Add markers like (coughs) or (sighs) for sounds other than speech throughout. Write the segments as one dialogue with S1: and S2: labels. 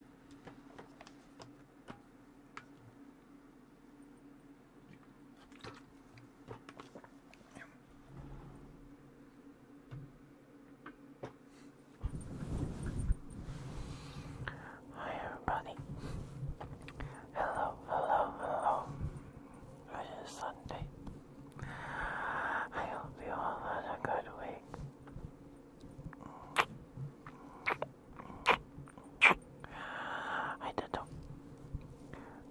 S1: Hi everybody. Hello, hello, hello. It is Sunday. I hope you all had a good week. Hi, Dental.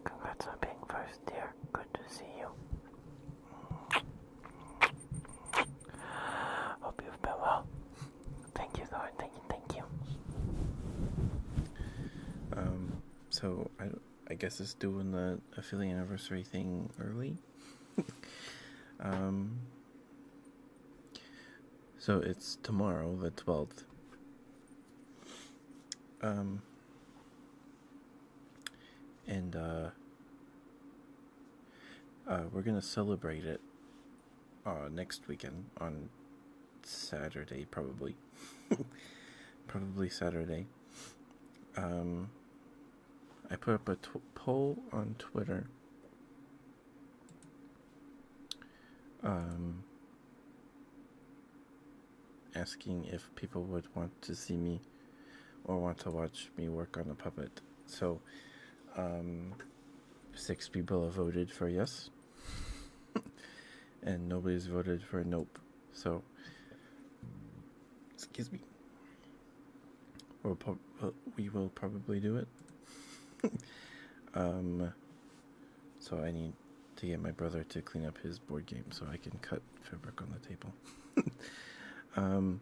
S1: Congrats on being first, dear. Good to see you. Hope you've been
S2: well. Thank you, Thank you, thank you. Um, so I, I guess it's doing the affiliate anniversary thing early. (laughs) Um, so it's tomorrow, the 12th. Um, and uh, uh, we're going to celebrate it uh, next weekend on Saturday, probably. (laughs) probably Saturday. Um, I put up a poll on Twitter um, asking if people would want to see me or want to watch me work on a puppet. So, um, six people have voted for yes, (laughs) and nobody's voted for nope. So, excuse me. We'll probably do it. (laughs) Um, so I need to get my brother to clean up his board game so I can cut fabric on the table. (laughs) Um,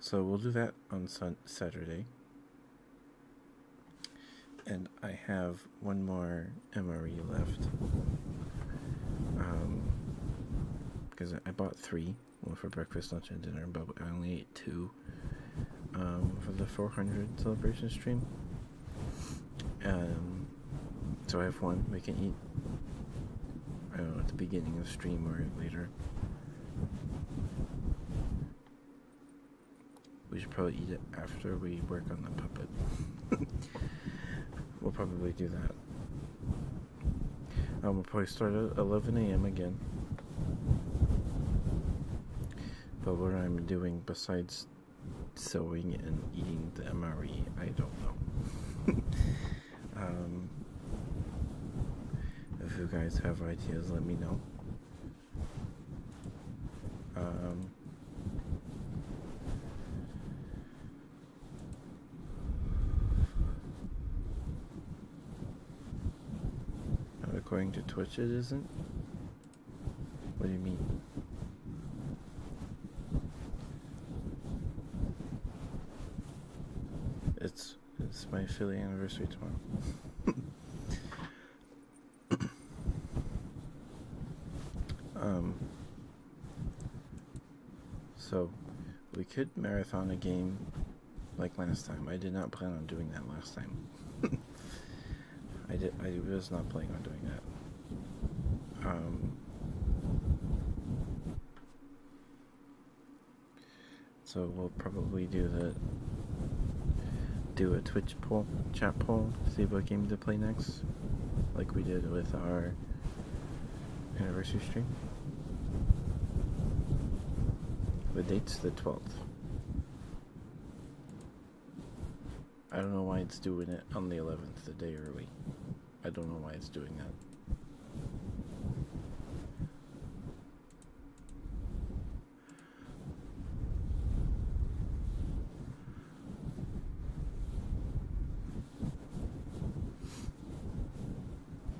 S2: so we'll do that on Saturday. And I have one more MRE left. Because um, I bought three one for breakfast, lunch, and dinner, but I only ate two um, for the 400 celebration stream. Um, so I have one we can eat. I don't know at the beginning of stream or later. We should probably eat it after we work on the puppet. (laughs) we'll probably do that. Um, we'll probably start at 11 a.m. again. But what I'm doing besides sewing and eating the MRE, I don't know. (laughs) Um, if you guys have ideas, let me know. Um, not according to Twitch, it isn't? What do you mean? It's it's my Philly anniversary tomorrow. (coughs) um so we could marathon a game like last time. I did not plan on doing that last time. (laughs) I did. I was not planning on doing that. Um, so we'll probably do the do a Twitch poll, chat poll, see what game to play next, like we did with our anniversary stream. The date's the 12th. I don't know why it's doing it on the 11th, the day early. I don't know why it's doing that.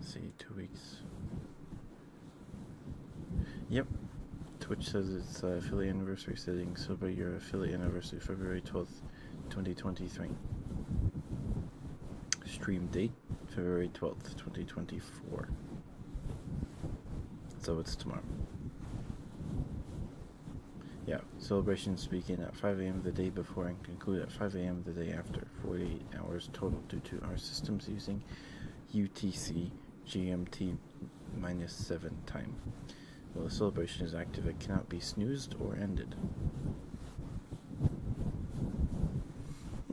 S2: see two weeks yep twitch says it's uh, affiliate anniversary setting. so by your affiliate anniversary february 12th 2023 stream date february 12th 2024 so it's tomorrow yeah, celebration begin at 5 a.m. the day before and conclude at 5 a.m. the day after, 48 hours total due to our systems using UTC GMT minus 7 time. While the celebration is active, it cannot be snoozed or ended. (laughs)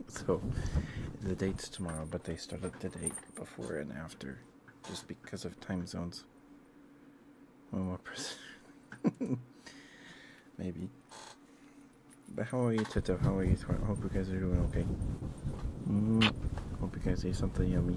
S2: So, the date's tomorrow, but they started the date before and after just because of time zones. One more person. (laughs) Maybe. But how are you, Tito? How are you? I hope you guys are doing okay. Mm, hope you guys ate something yummy.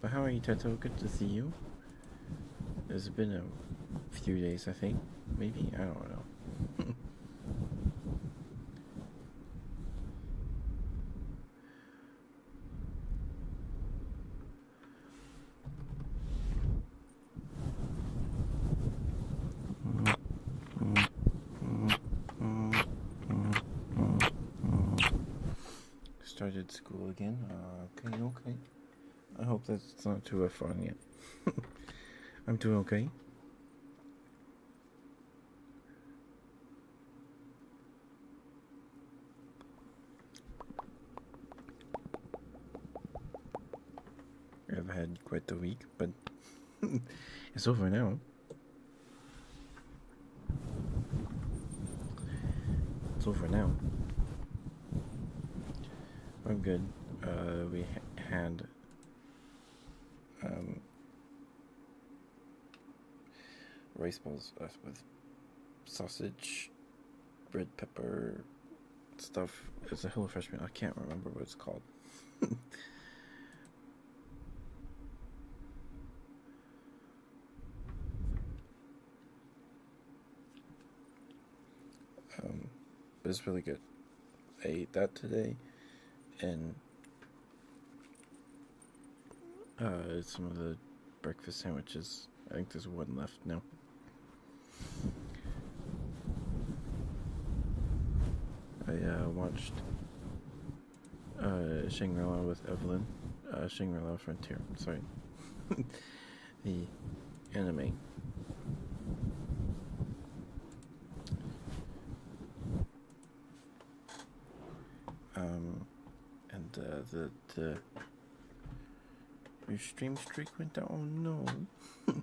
S2: But how are you, Tato? Good to see you. It's been a few days, I think. Maybe? I don't know. (laughs) Started school again. Uh, okay, okay. I hope that's not too fun yet. (laughs) I'm doing okay. I've had quite the week, but (laughs) it's over now. It's over now. I'm good. Uh, we had um, rice balls uh, with sausage, red pepper stuff. It's a HelloFresh meal. I can't remember what it's called. (laughs) Um, it's really good. I ate that today, and uh, some of the breakfast sandwiches. I think there's one left now. I uh, watched uh, Shangri-La with Evelyn, uh, Shangri-La Frontier. Sorry, (laughs) the anime. Um, and uh, the the your stream streak went down. Oh no. (laughs)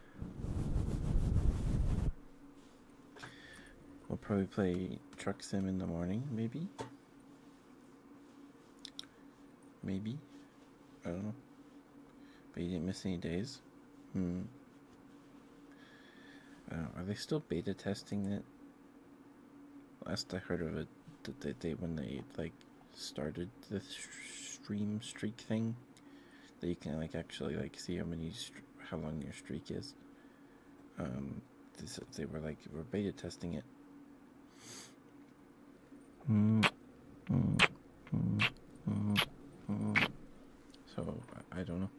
S2: We'll probably play Truck Sim in the morning, maybe. Maybe. I don't know. But you didn't miss any days? Hmm. are they still beta testing it? Last I heard of it, that they, when they like started the stream streak thing, that you can like actually like see how many how long your streak is. Um, they were like we're beta testing it. so I don't know.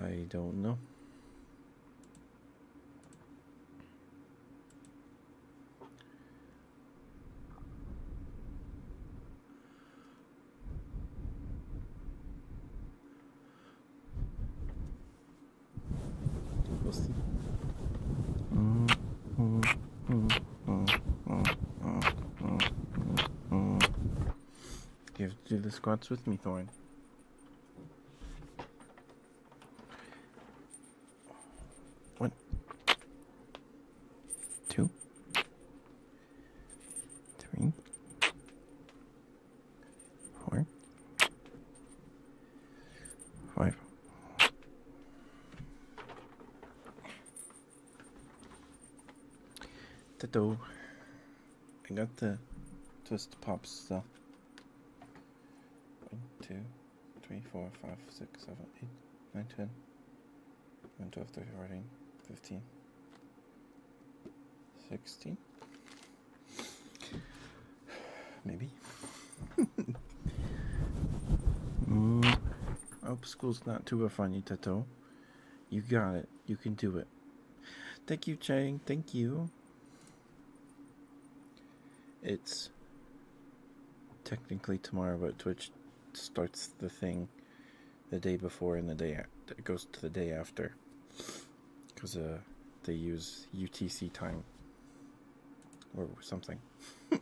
S2: I don't know. (laughs) You have to do the squats with me, Thorn. What? two, three, four, five. The I got the twist pop stuff. One, two, three, four, five, six, seven, eight, nine, ten. 12, 13, 15, 16. (sighs) Maybe. mm. (laughs) school's not too rough on you, Tato. You got it. You can do it. Thank you, Chang. Thank you. It's technically tomorrow, but Twitch starts the thing the day before and the day it goes to the day after because uh, they use UTC time or something. (laughs)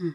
S2: (laughs)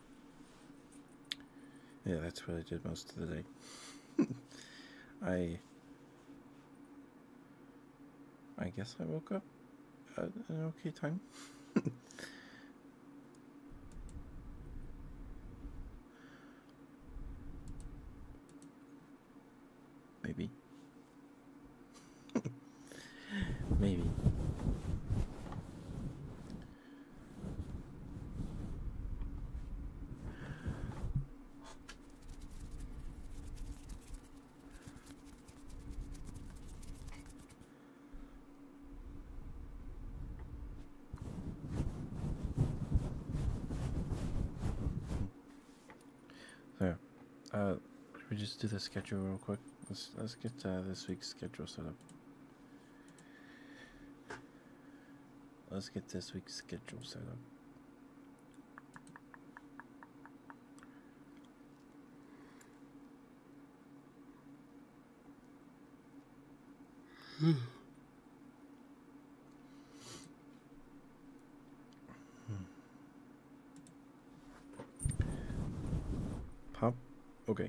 S2: Yeah, that's what I did most of the day. (laughs) I I guess I woke up at an okay time. (laughs) Maybe. (laughs) Maybe. So, uh, should we just do the schedule real quick? Let's let's get uh, this week's schedule set up. Let's get this week's schedule set up. Hmm. hmm. Pop. Okay.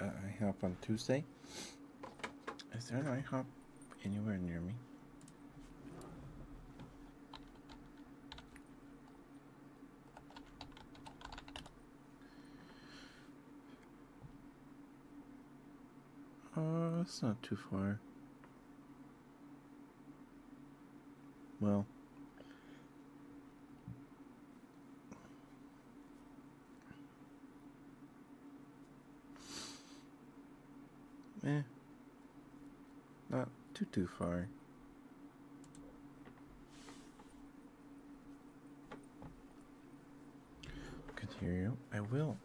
S2: I IHOP on Tuesday. Is there an IHOP anywhere near me? Oh, uh, it's not too far. Well, Eh. Not too, too far. Can I will.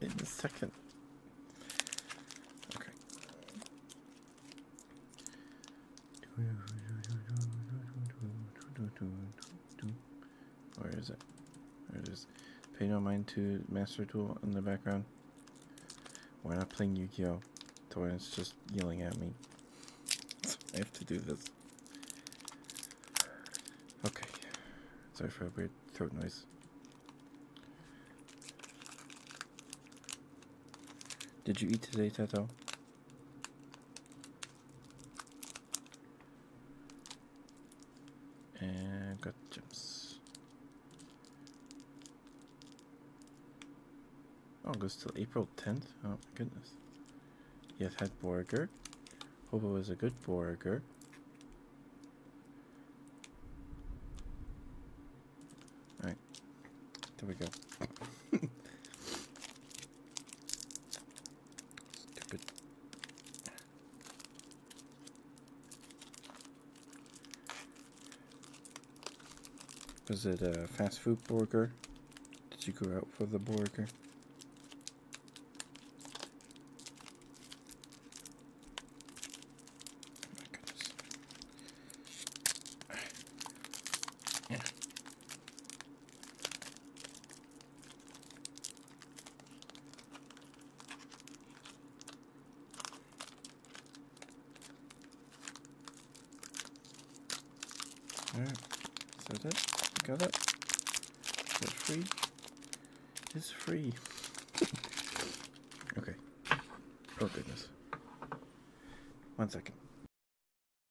S2: In a second. Okay. Where is it? Where is? it is. Pay no mind to Master Tool in the background. Why not playing Yu-Gi-Oh? is just yelling at me. (laughs) I have to do this. Okay. Sorry for a weird throat noise. Did you eat today, Tato? And got jumps. Oh, goes till April 10th? Oh goodness. Yes, had Borger. Hope it was a good Borger. Alright. There we go. Stupid. Was it a fast food burger? Did you go out for the burger? Oh yeah. Alright, so that, got that. It's free. It's free. (laughs) okay. Oh goodness. One second.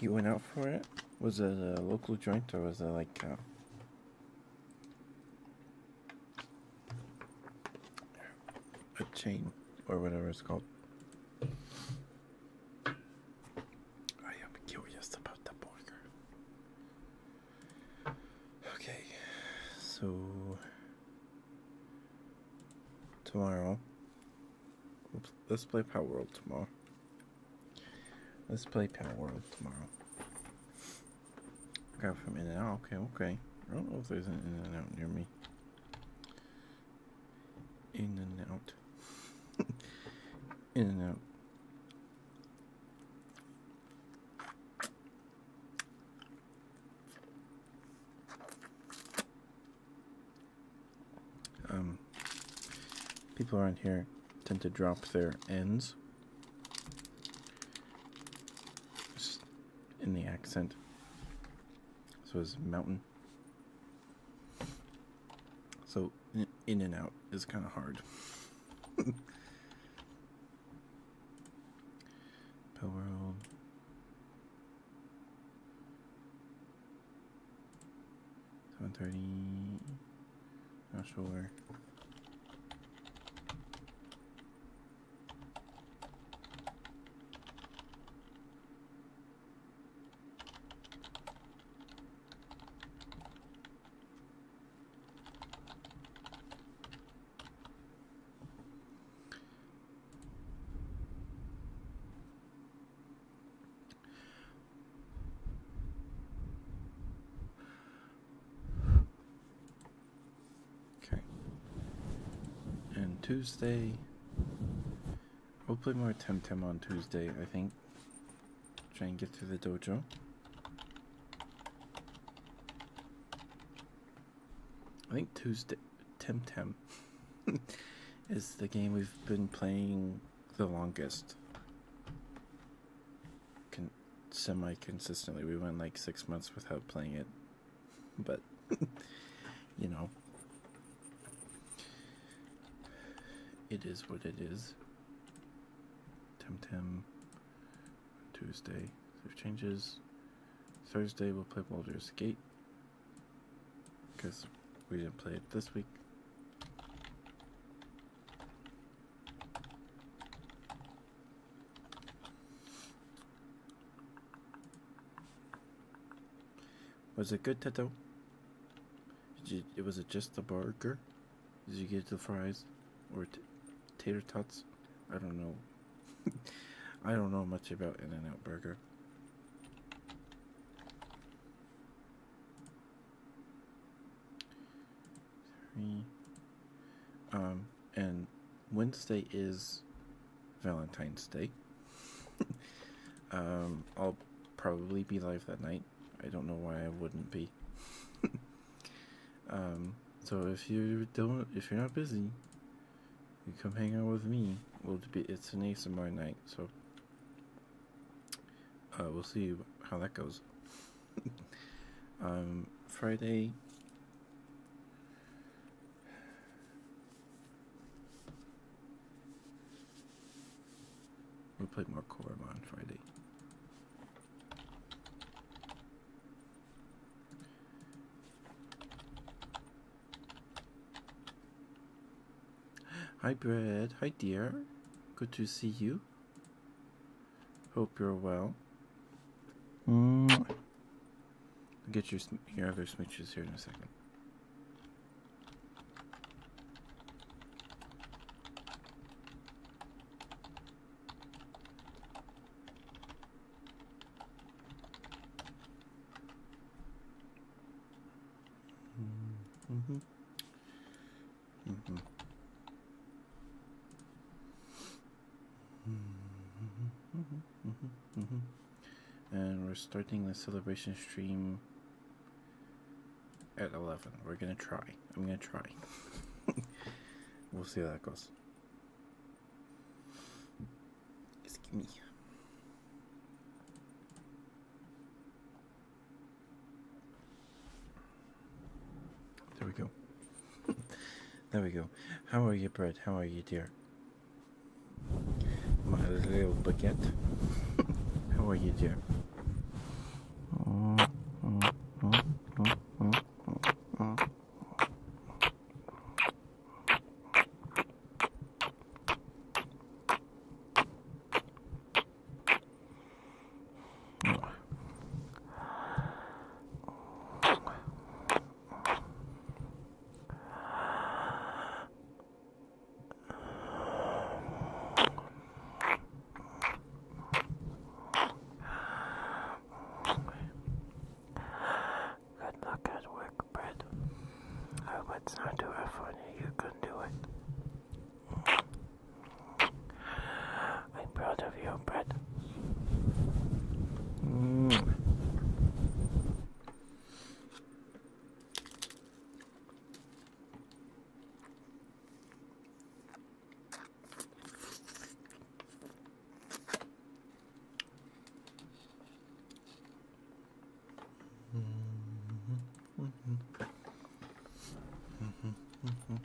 S2: You went out for it? Was it a local joint or was it like uh, a chain or whatever it's called? I am curious about the burger. Okay, so tomorrow Let's play Power World tomorrow. Let's play Power World tomorrow. Got from In and Out. Okay, okay. I don't know if there's an In and Out near me. In and Out. (laughs) in and Out. Um, people around here tend to drop their ends in the accent. So is mountain. So in and out is kind of hard. (laughs) Pill 7.30, not sure. Okay. And Tuesday, we'll play more Temtem on Tuesday, I think. Try and get through the dojo. I think Tuesday Temtem (laughs) is the game we've been playing the longest can semi consistently. We went like six months without playing it, but (laughs) you know, it is what it is. Tim Tim, Tuesday. There changes. Thursday we'll play Baldur's Gate because we didn't play it this week. Was it good, Teto? Did you, was it just the burger? Did you get the fries or tater tots? I don't know. (laughs) I don't know much about In-N-Out Burger. Three. Um, and Wednesday is Valentine's Day. (laughs) um, I'll probably be live that night. I don't know why I wouldn't be. (laughs) um, so if you don't, if you're not busy, you come hang out with me. will be. It's an ASMR night, so uh, we'll see how that goes. (laughs) Um, Friday. We'll play more Korriban Friday. Hi, Brad. Hi, dear. Good to see you. Hope you're well. Mm. Get your your other smooches here in a second.
S3: Mm-hmm. Mm -hmm. Mm -hmm, mm -hmm,
S2: mm -hmm. And we're starting the celebration stream at 11. We're gonna try. I'm gonna try. (laughs) we'll see how that goes. Excuse me. There we go. (laughs) there we go. How are you, Brett? How are you, dear? My little baguette. (laughs) How are you, dear?
S1: Good luck at work, Brett. I hope it's not too hard for you. You can do it. I'm
S3: proud of you, Brett. Mm. Mm-hmm. hmm hmm hmm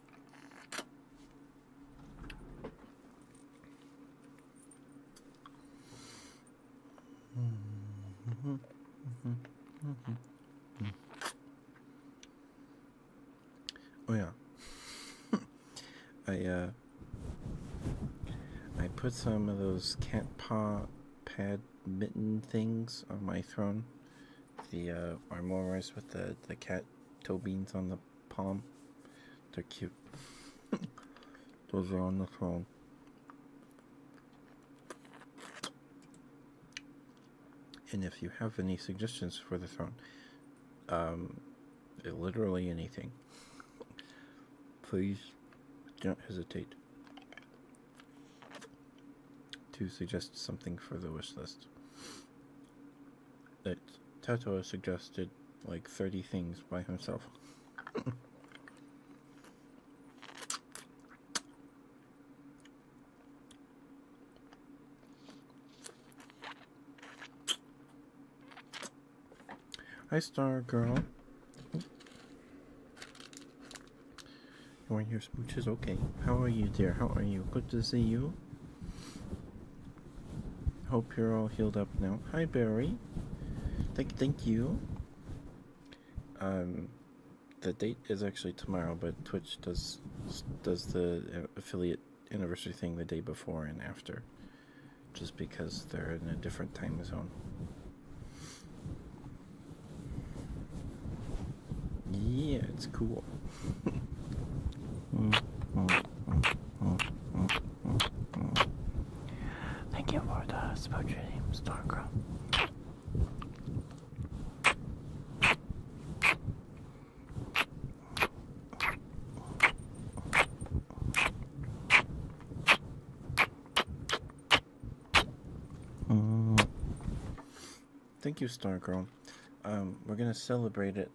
S3: hmm Mm-hmm. Mm-hmm.
S2: Oh yeah. (laughs) I uh I put some of those cat paw pad mitten things on my throne. The uh armorers with the the cat got toe beans on the palm. They're cute. (laughs) Those are on the throne. And if you have any suggestions for the throne, um, literally anything, please don't hesitate to suggest something for the wish list that Tato suggested like 30 things by himself. (laughs) Hi, Star Girl. You want your smooches? Okay. How are you, dear? How are you? Good to see you. Hope you're all healed up now. Hi, Barry. Thank, thank you. Um, the date is actually tomorrow, but Twitch does does the uh, affiliate anniversary thing the day before and after, just because they're in a different time zone. Yeah, it's cool.
S1: Thank you for the uh, spotty Starcrow.
S2: Mm. Thank you, Star Girl. Um, we're gonna celebrate it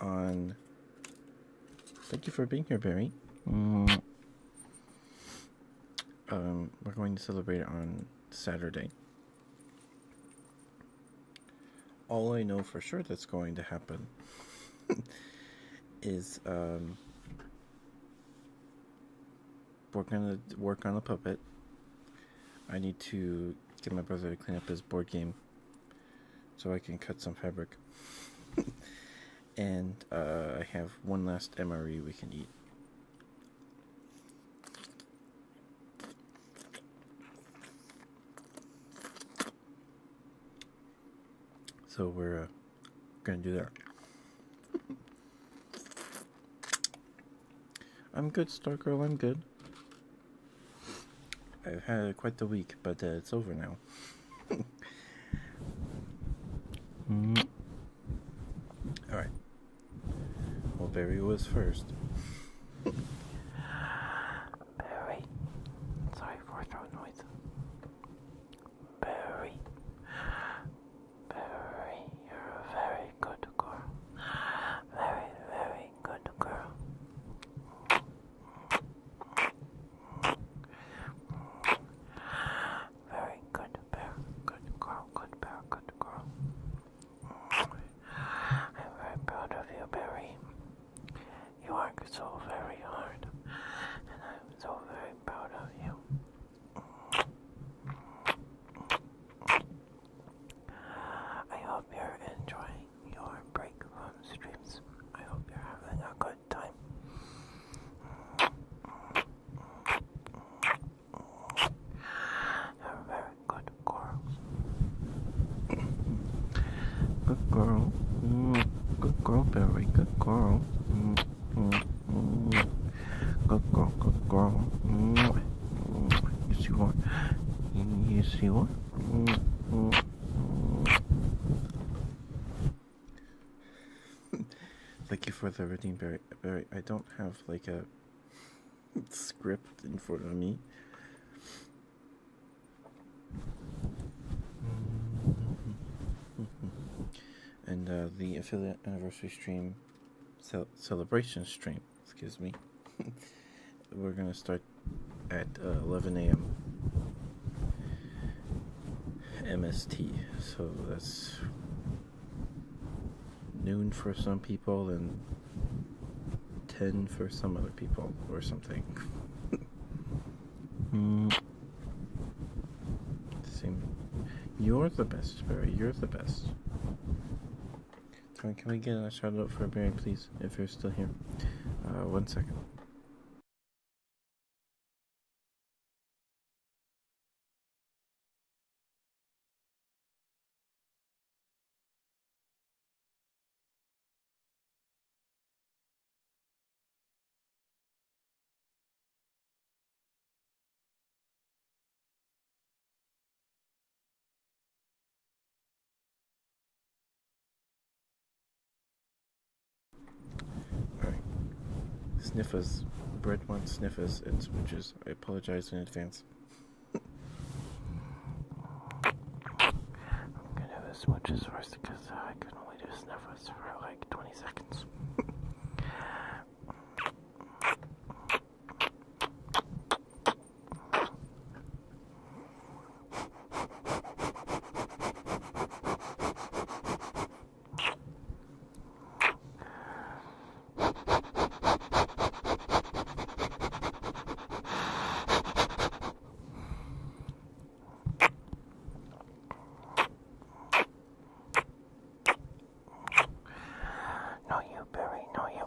S2: on. Thank you for being here, Barry. Um, we're going to celebrate it on Saturday. All I know for sure that's going to happen (laughs) is um, we're gonna work on a puppet I need to get my brother to clean up his board game so I can cut some fabric. (laughs) and uh, I have one last MRE we can eat. So we're uh, gonna do that. (laughs) I'm good, Stargirl, I'm good. I've had quite the week, but uh, it's over now. (laughs) Alright. Well, Barry was first. Barry. Sorry for the noise. Barry. Barry. You're a very good girl. Very, very good girl.
S1: Very good bear. Good girl, good bear, good girl. I'm very proud of you, Barry. You work so very hard, and I'm so very proud of you. I hope you're enjoying your break from streams.
S2: I hope you're having a good time. You're very good girl. Good girl. Good girl, Barry. Good girl. Good girl, good you see what? You see what? Thank you for the reading, Barry. Barry, I don't have like a script in front of me. and uh, the affiliate anniversary stream celebration stream excuse me, (laughs) we're gonna start at uh, 11 a.m. MST, so that's noon for some people and 10 for some other people or something. (laughs) mm. Same. You're the best, Barry. You're the best. Can, we get a shout out for Barry, please, if you're still here? Uh, one second. Sniffers. Bread wants sniffers and smooches. I apologize in advance. (laughs) I'm gonna have a first because
S1: I can only do sniffers for like 20 seconds.
S3: No, you, Barry, no, you.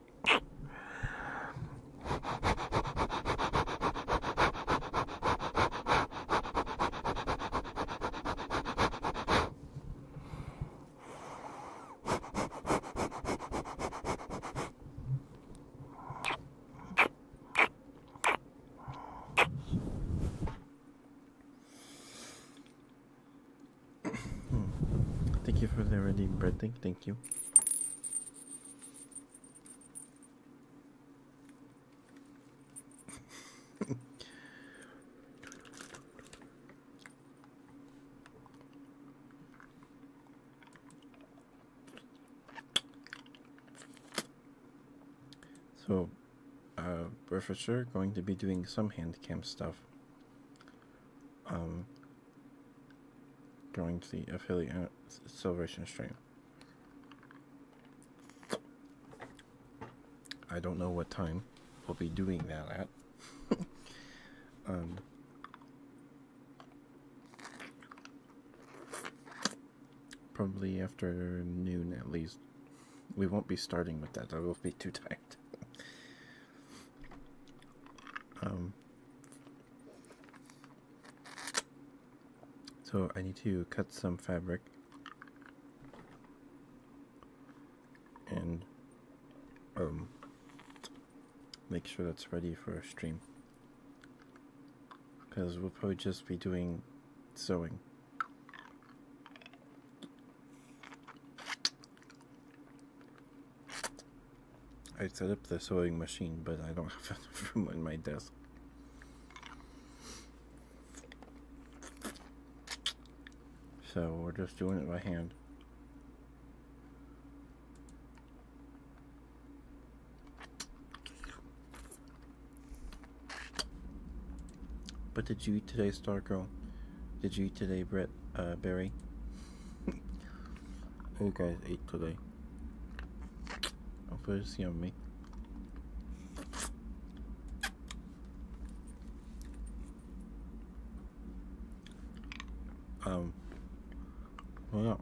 S2: Thank you for the ready bread Thank you so, uh, we're for sure going to be doing some hand cam stuff. Going to the affiliate celebration stream. I don't know what time we'll be doing that at. (laughs) Um, probably after noon at least. We won't be starting with that. I will be too tired. (laughs) um, so I need to cut some fabric and um, make sure that's ready for a stream because we'll probably just be doing sewing. I set up the sewing machine, but I don't (laughs) have enough room on my desk. So we're just doing it by hand. But did you eat today, Girl? Did you eat today, Brett, uh, Barry? (laughs) Who guys ate today. I'm first yummy. Um, well,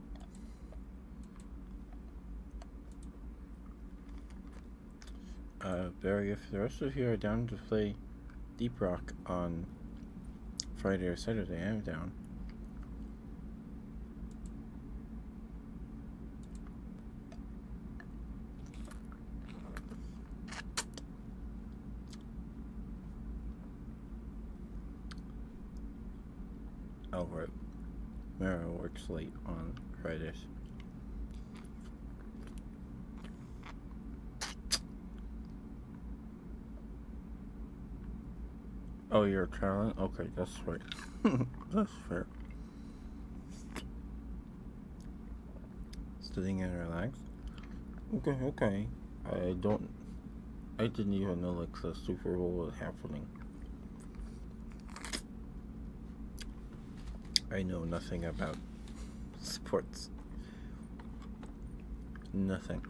S2: yeah. Uh, Barry, if the rest of you are down to play Deep Rock on Friday or Saturday, I'm down. Over it. Mara works late on Fridays. Oh, you're traveling. Okay, that's right. (laughs) that's fair. Sitting and relax. Okay, okay. I don't. I didn't even know like the Super Bowl was happening. I know nothing about (laughs) sports. Nothing.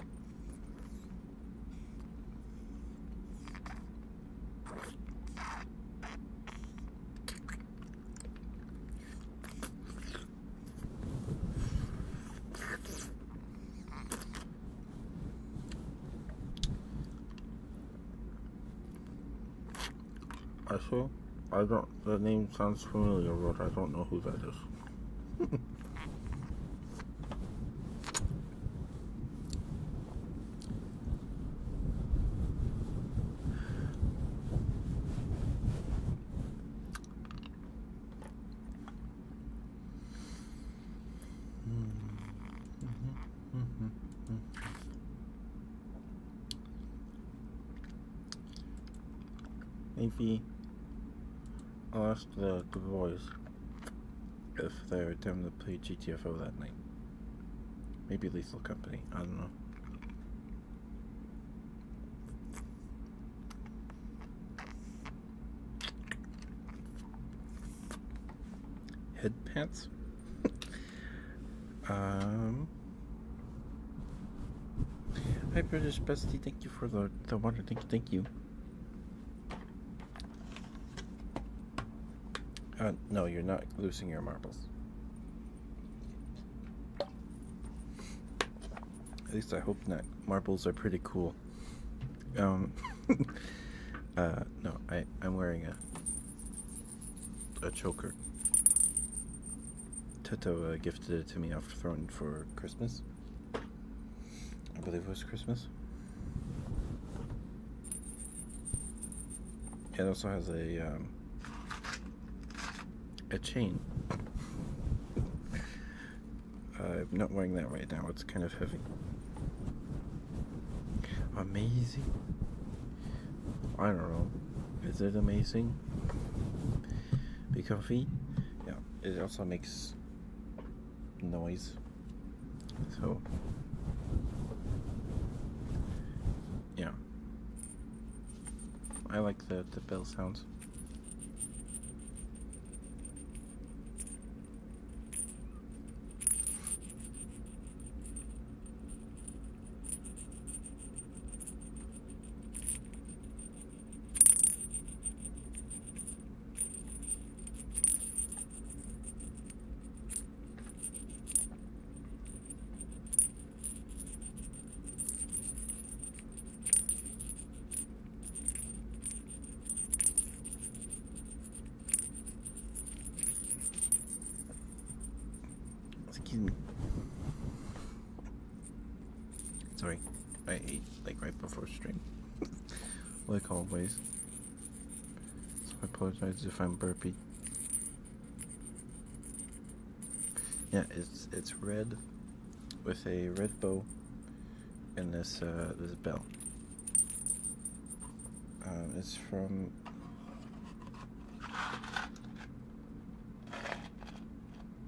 S2: I swear, I don't, the name sounds familiar, but I don't know who that is. Leafy or uh, the, boys if they were determined to play GTFO that night. Maybe Lethal Company, I don't know. Head pants? (laughs) um. Hi, British Bestie. Thank you for the, the water. Thank you. Thank you. Uh, no, you're not losing your marbles. At least I hope not. Marbles are pretty cool. Um, (laughs) uh, no, I, I'm wearing a, a choker. Toto uh, gifted it to me after throwing for Christmas. I believe it was Christmas. It also has a um, a chain. I'm not wearing that right now. It's kind of heavy. Amazing. I don't know. Is it amazing? Be comfy. Yeah. It also makes noise. So, yeah. I like the, the bell sounds. Excuse me. Sorry, I ate like right before stream. What (laughs) like always. I apologize if I'm burpy. Yeah, it's it's red with a red bow in this uh, this bell. Um, it's from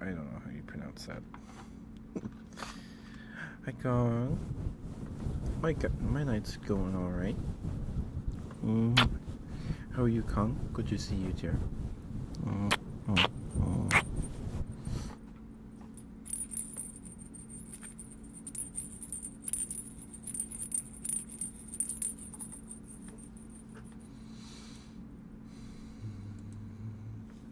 S2: I don't know how you pronounce that. Hi, Carl. My my night's going all right. Mm-hmm. How are you, Kong? Good to see you, dear.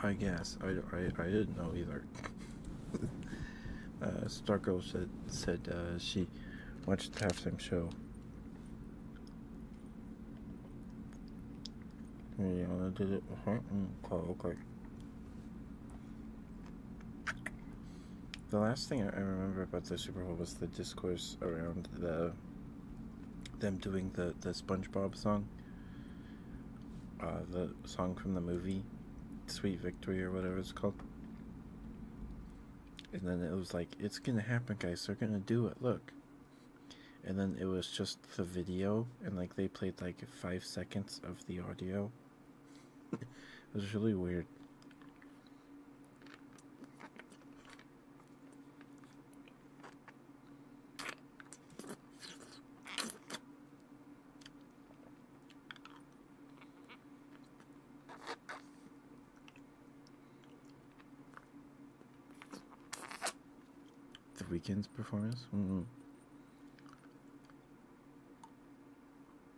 S2: I guess. I, I, I didn't know either. uh, Stargirl said, said uh, she watched the halftime show. Yeah, did it. Mm, oh, okay. The last thing I remember about the Super Bowl was the discourse around the them doing the the SpongeBob song, uh, the song from the movie, Sweet Victory or whatever it's called. And then it was like, it's gonna happen, guys. They're gonna do it. Look. And then it was just the video, and like they played like five seconds of the audio it was really weird. The weekend's performance? Mm-hmm.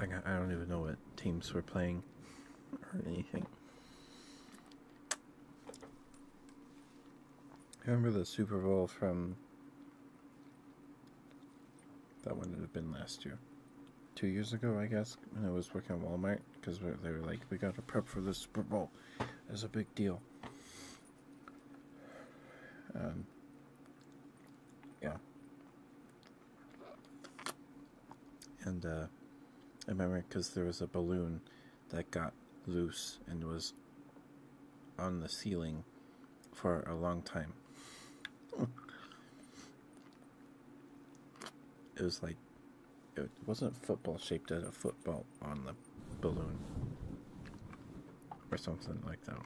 S2: I I don't even know what teams were playing or anything. Remember the Super Bowl from that one would have been last year, two years ago, I guess, when I was working at Walmart because they were like, "We got to prep for the Super Bowl," it's a big deal. Um, yeah. And uh, I remember because there was a balloon that got loose and was on the ceiling for a long time. it was like it wasn't football shaped as a football on the balloon or something like that.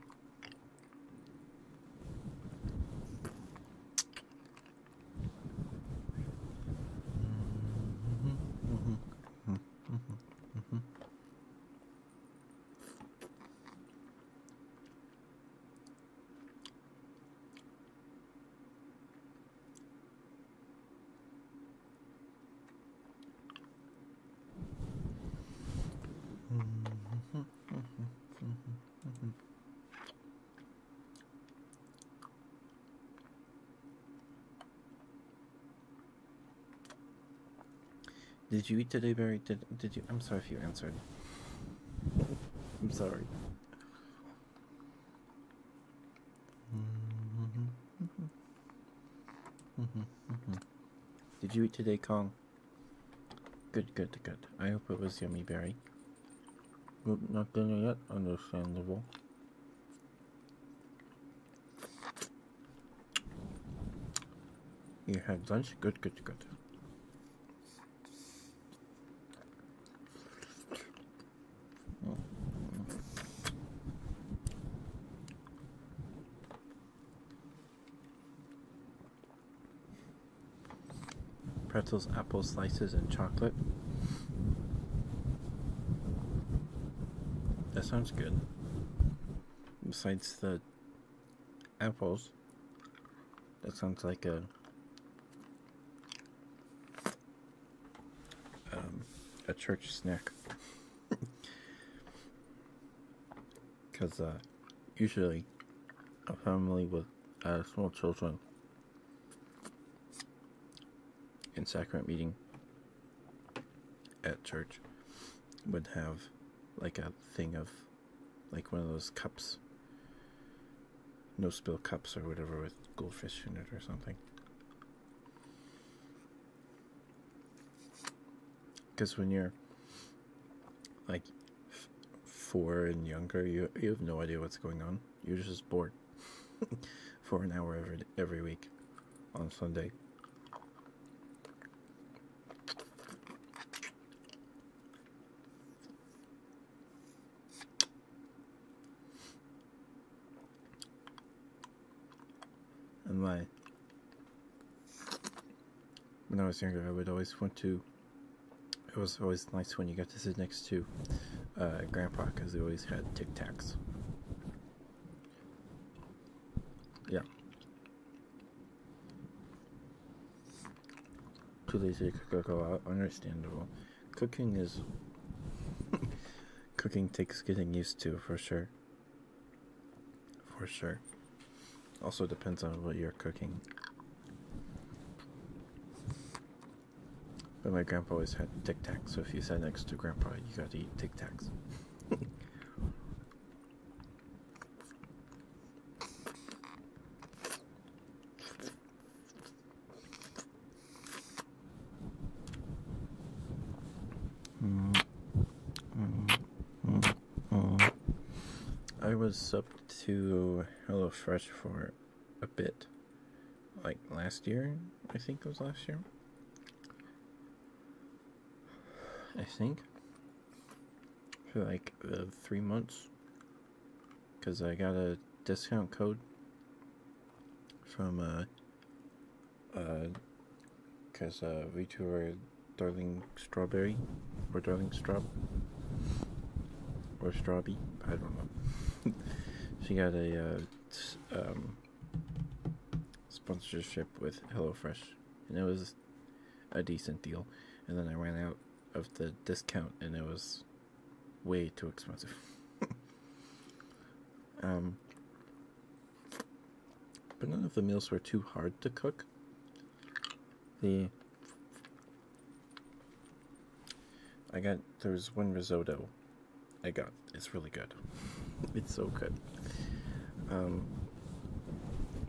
S2: Did you eat today, Barry? Did, did you? I'm sorry if you answered. I'm sorry. Mm-hmm. Mm -hmm, mm -hmm. Did you eat today, Kong? Good, good, good. I hope it was yummy berry. Good, not dinner yet. Understandable. You had lunch? Good, good, good pretzels, apple slices, and chocolate. That sounds good. Besides the apples, that sounds like a um, a church snack. Because uh, usually a family with uh, small children in sacrament meeting at church would have like a thing of like one of those cups no spill cups or whatever with goldfish in it or something because when you're like four and younger, you you have no idea what's going on. You're just bored (laughs) for an hour every every week on Sunday. And my when I was younger, I would always want to. It was always nice when you got to sit next to uh, Grandpa because they always had Tic Tacs. Yeah. Too lazy to cook out. Understandable. Cooking is. (laughs) cooking takes getting used to for sure. For sure. Also depends on what you're cooking. But my grandpa always had Tic Tacs, so if you sat next to grandpa, you got to eat Tic Tacs. (laughs) mm -hmm. -hmm. I was up to HelloFresh for a bit, like last year. I think it was last year. I think for like uh, three months, because I got a discount code from uh, uh because uh, we 2 are Darling Strawberry or Darling Straub or Strawby, I don't know. (laughs) she got a uh, um, sponsorship with HelloFresh, and it was a decent deal. And then I ran out of the discount, and it was way too expensive. (laughs) um, but none of the meals were too hard to cook. The I got there's one risotto I got. It's really good. It's so good. Um,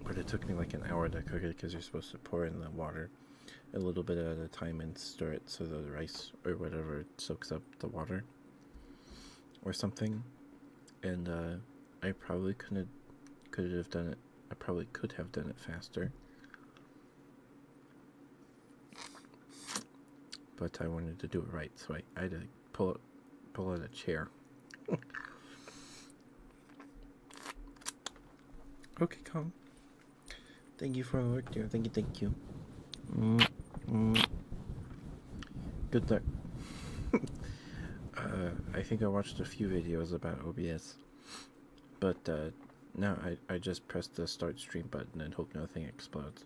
S2: but it took me like an hour to cook it because you're supposed to pour in the water a little bit at a time and stir it so the rice or whatever soaks up the water or something and uh, I probably couldn't could have done it. I probably could have done it faster, but I wanted to do it right, so I, had to pull it, pull out a chair. (laughs) okay, come. Thank you for the work, dear. Thank you, thank you. -hmm. Good luck. (laughs) I think I watched a few videos about OBS, but now I, I just press the start stream button and hope nothing explodes.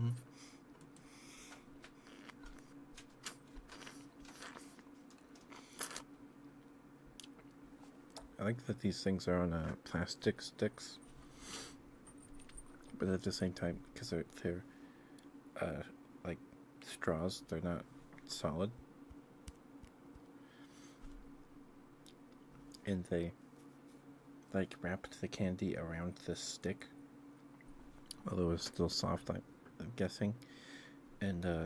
S2: Mm. I like that these things are on uh, plastic sticks, but at the same time, because they're, they're uh, like straws, they're not solid. And they like wrapped the candy around the stick, although it's still soft, I'm guessing, and uh,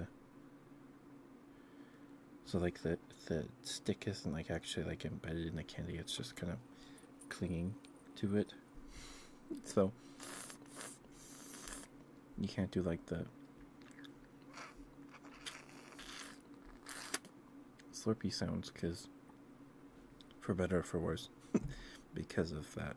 S2: so like the the stick isn't like actually like embedded in the candy; it's just kind of clinging to it. So you can't do like the slurpy sounds because for better or for worse, (laughs) because of that.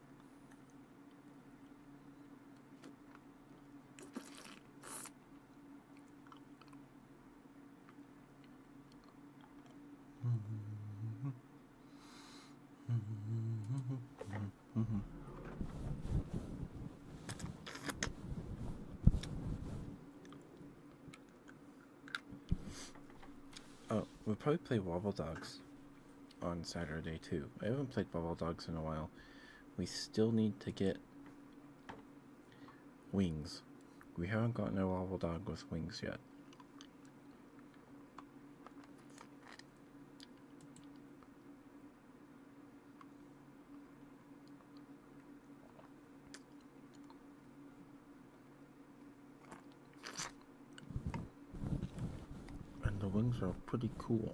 S2: Oh, we'll probably play Wobble Dogs on Saturday too. I haven't played Ball Dogs in a while. We still need to get wings. We haven't got no Ball dog with wings yet. And the wings are pretty cool.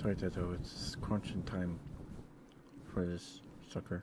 S2: Sorry, Tato, it's crunching time for this sucker.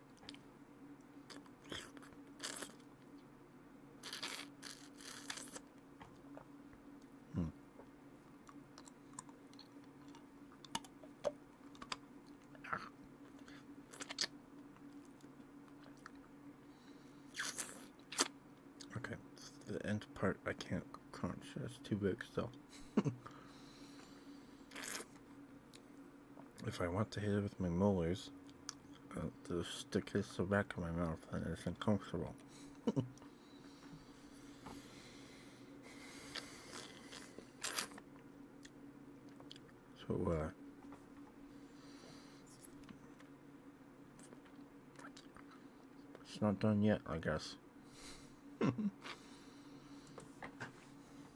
S2: Hmm. Okay, the end part I can't crunch. That's too big still. (laughs) if I want to hit it with my molars, uh, the stick hits the back of my mouth and it's uncomfortable. (laughs) so, uh, it's not done yet, I guess. (laughs)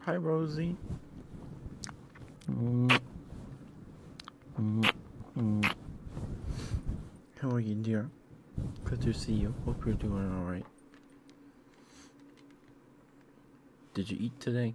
S2: Hi, Rosie. Mm. Mm. Mm. How are you, dear? Good to see you. Hope you're doing alright. Did you eat today?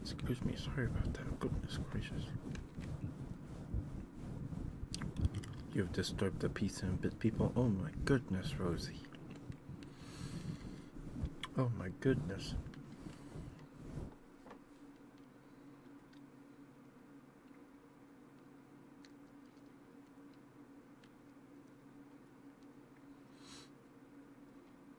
S2: Excuse me, sorry about that. Goodness gracious. You've disturbed the peace and bit people. Oh my goodness, Rosie. Oh my goodness.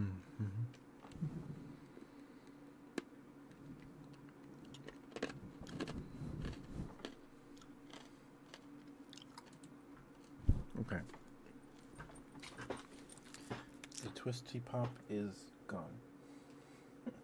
S3: Mm-hmm.
S2: Okay. The twisty pop is gone.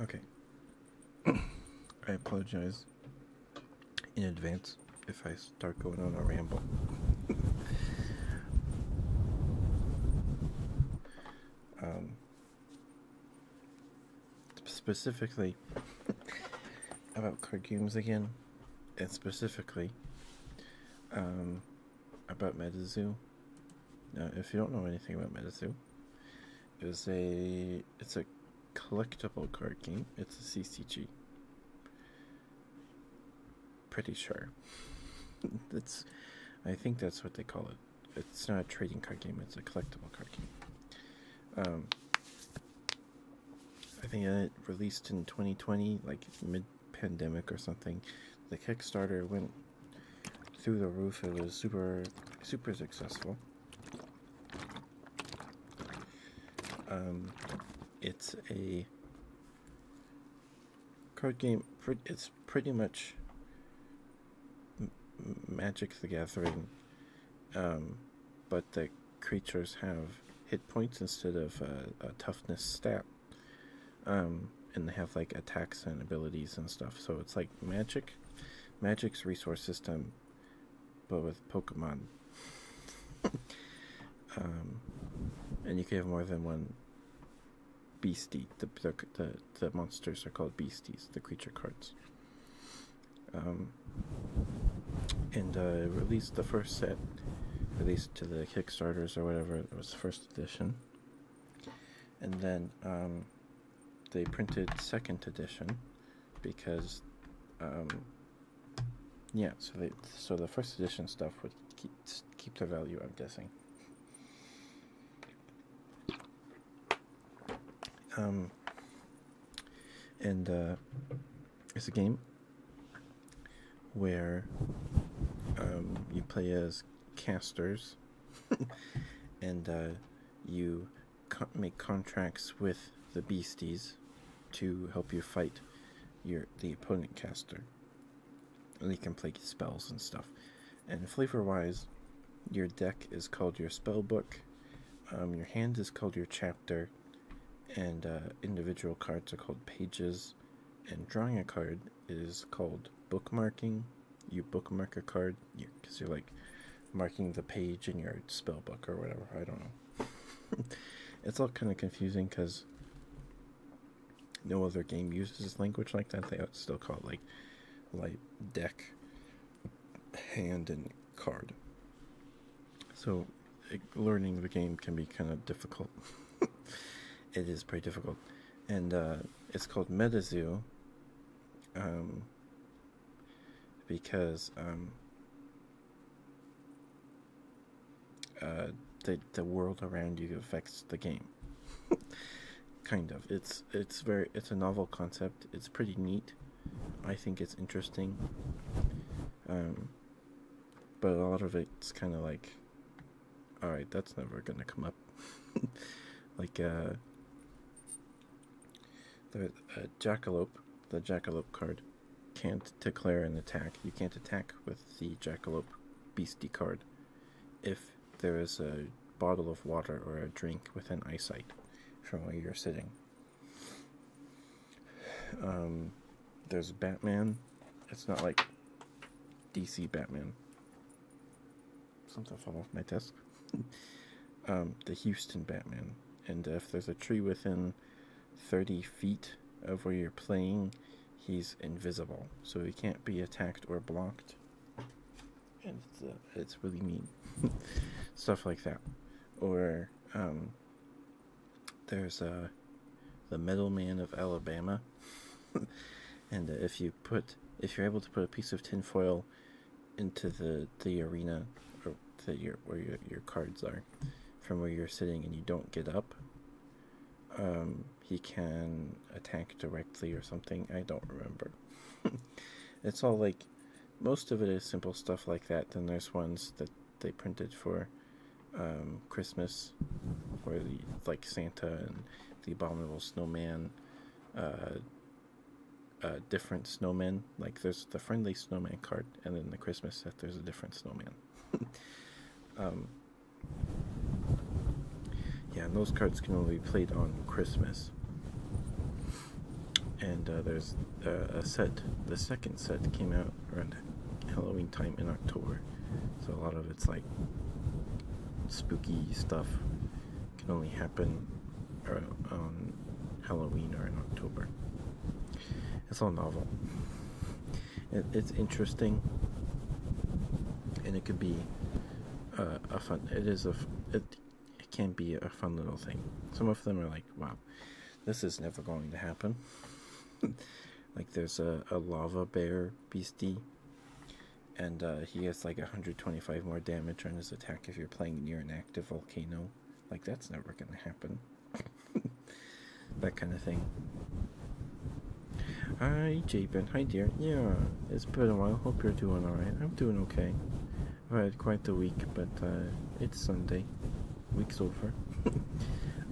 S2: Okay. (clears throat) I apologize in advance if I start going on a ramble. (laughs) Um, specifically about card games again, and specifically um, about MetaZoo. Now, if you don't know anything about MetaZoo, it is a it's a collectible card game. It's a CCG. Pretty sure. that's, (laughs) I think that's what they call it. It's not a trading card game. It's a collectible card game. Um, I think it released in 2020, like mid-pandemic or something. The Kickstarter went through the roof. It was super, super successful. Um, it's a card game. It's pretty much Magic the Gathering, um, but the creatures have hit points instead of a, toughness stat. Um, and they have like attacks and abilities and stuff. So it's like Magic, Magic's resource system, but with Pokemon. (laughs) Um, and you can have more than one beastie. The, the the monsters are called beasties. The creature cards. Um, and released the first set, released to the Kickstarters or whatever. It was first edition. And then um, they printed second edition because um, yeah. So they so the first edition stuff would keep keep their value. I'm guessing. Um, and uh, it's a game where um, you play as casters (laughs) and uh, you make contracts with the beasties to help you fight your the opponent caster and you can play spells and stuff. And flavor wise, your deck is called your spellbook. Um, your hand is called your chapter, and uh, individual cards are called pages, and drawing a card is called bookmarking. You bookmark a card because you, are like marking the page in your spellbook or whatever. I don't know. (laughs) it's all kind of confusing because no other game uses language like that. They still call it like like deck, hand, and card. So learning the game can be kind of difficult. (laughs) it is pretty difficult, and uh, it's called MetaZoo. Um, because um, uh, the the world around you affects the game. (laughs) kind of. It's it's very it's a novel concept. It's pretty neat. I think it's interesting. Um, but a lot of it's kind of like, all right, that's never gonna come up. (laughs) like uh, the uh, jackalope, the jackalope card can't declare an attack. You can't attack with the jackalope beastie card if there is a bottle of water or a drink within eyesight from where you're sitting. Um, there's Batman. It's not like DC Batman. Something fell off my desk. (laughs) um, the Houston Batman. And if there's a tree within 30 feet of where you're playing, he's invisible. So he can't be attacked or blocked it's, uh, it's really mean. (laughs) Stuff like that. Or, um, there's uh, the Man of Alabama. (laughs) and uh, if you put, if you're able to put a piece of tinfoil into the, the arena or the, your, where your, your cards are from where you're sitting and you don't get up, um, he can attack directly or something. I don't remember. (laughs) it's all like most of it is simple stuff like that. Then there's ones that they printed for um, Christmas, where the like Santa and the Abominable Snowman, uh, uh, different snowmen. Like there's the friendly snowman card, and then the Christmas set. There's a different snowman. (laughs) Um, yeah, and those cards can only be played on Christmas. And uh, there's uh, a set, the second set came out around Halloween time in October. So a lot of it's like spooky stuff can only happen on Halloween or in October. It's all novel. it's interesting, and it could be uh, a fun. It is a. It, it can be a fun little thing. Some of them are like, wow, this is never going to happen. (laughs) like there's a, a lava bear beastie, and uh, he gets like 125 more damage on his attack if you're playing near an active volcano. Like that's never going to happen. (laughs) that kind of thing. Hi, Jabin. Hi, dear. Yeah, it's been a while. Hope you're doing alright. I'm doing okay. I've had quite a week, but uh, it's Sunday. Week's over. (laughs)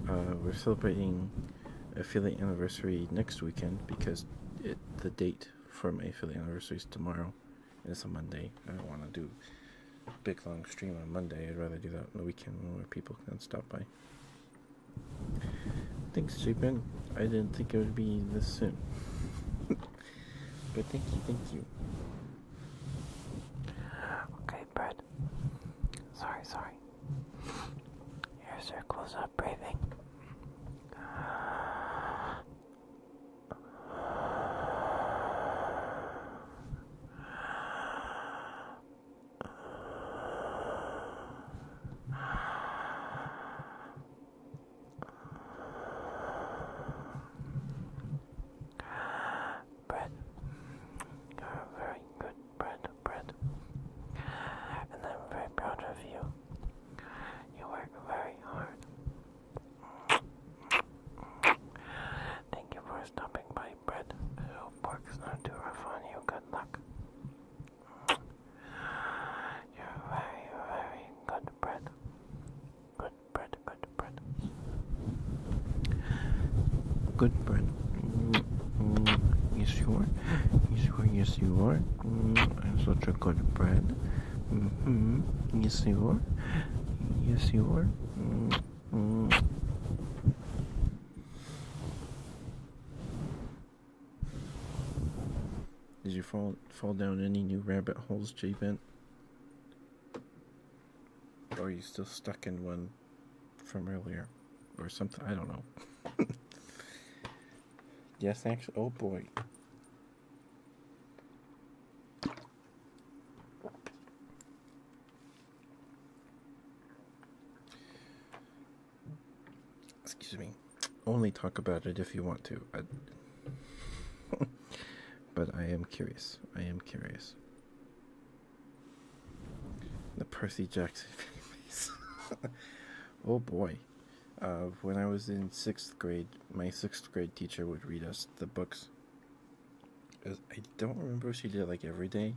S2: Uh, we're celebrating affiliate anniversary next weekend because the date for my affiliate anniversary is tomorrow. It's a Monday. I don't want to do a big long stream on Monday. I'd rather do that on the weekend when people can stop by. Thanks, Japan. I didn't think it would be this soon. but thank you, thank you.
S1: Okay, Brad. Sorry, sorry. your close up breathing. Bread. You're very good bread, bread.
S2: And I'm very proud of you. You work very hard. Thank you for stopping by, bread. hope work's not too rough on you. Good luck. You're very, very good bread. Good bread, good bread. Good bread. Yes, you are. Yes, you are. Yes, you are. Mm -hmm. Such a good bread. Mm-hmm. Yes, you are. Yes, you are. Mm-hmm. Did you fall fall down any new rabbit holes, J Bent? Or are you still stuck in one from earlier? Or something I don't know. (laughs) yes, actually oh boy. Excuse me only talk about it if you want to. (laughs) but I am curious. I am curious. The Percy Jackson (laughs) oh boy. Uh, when I was in sixth grade, my sixth grade teacher would read us the books. Uh, I don't remember she did it like every day.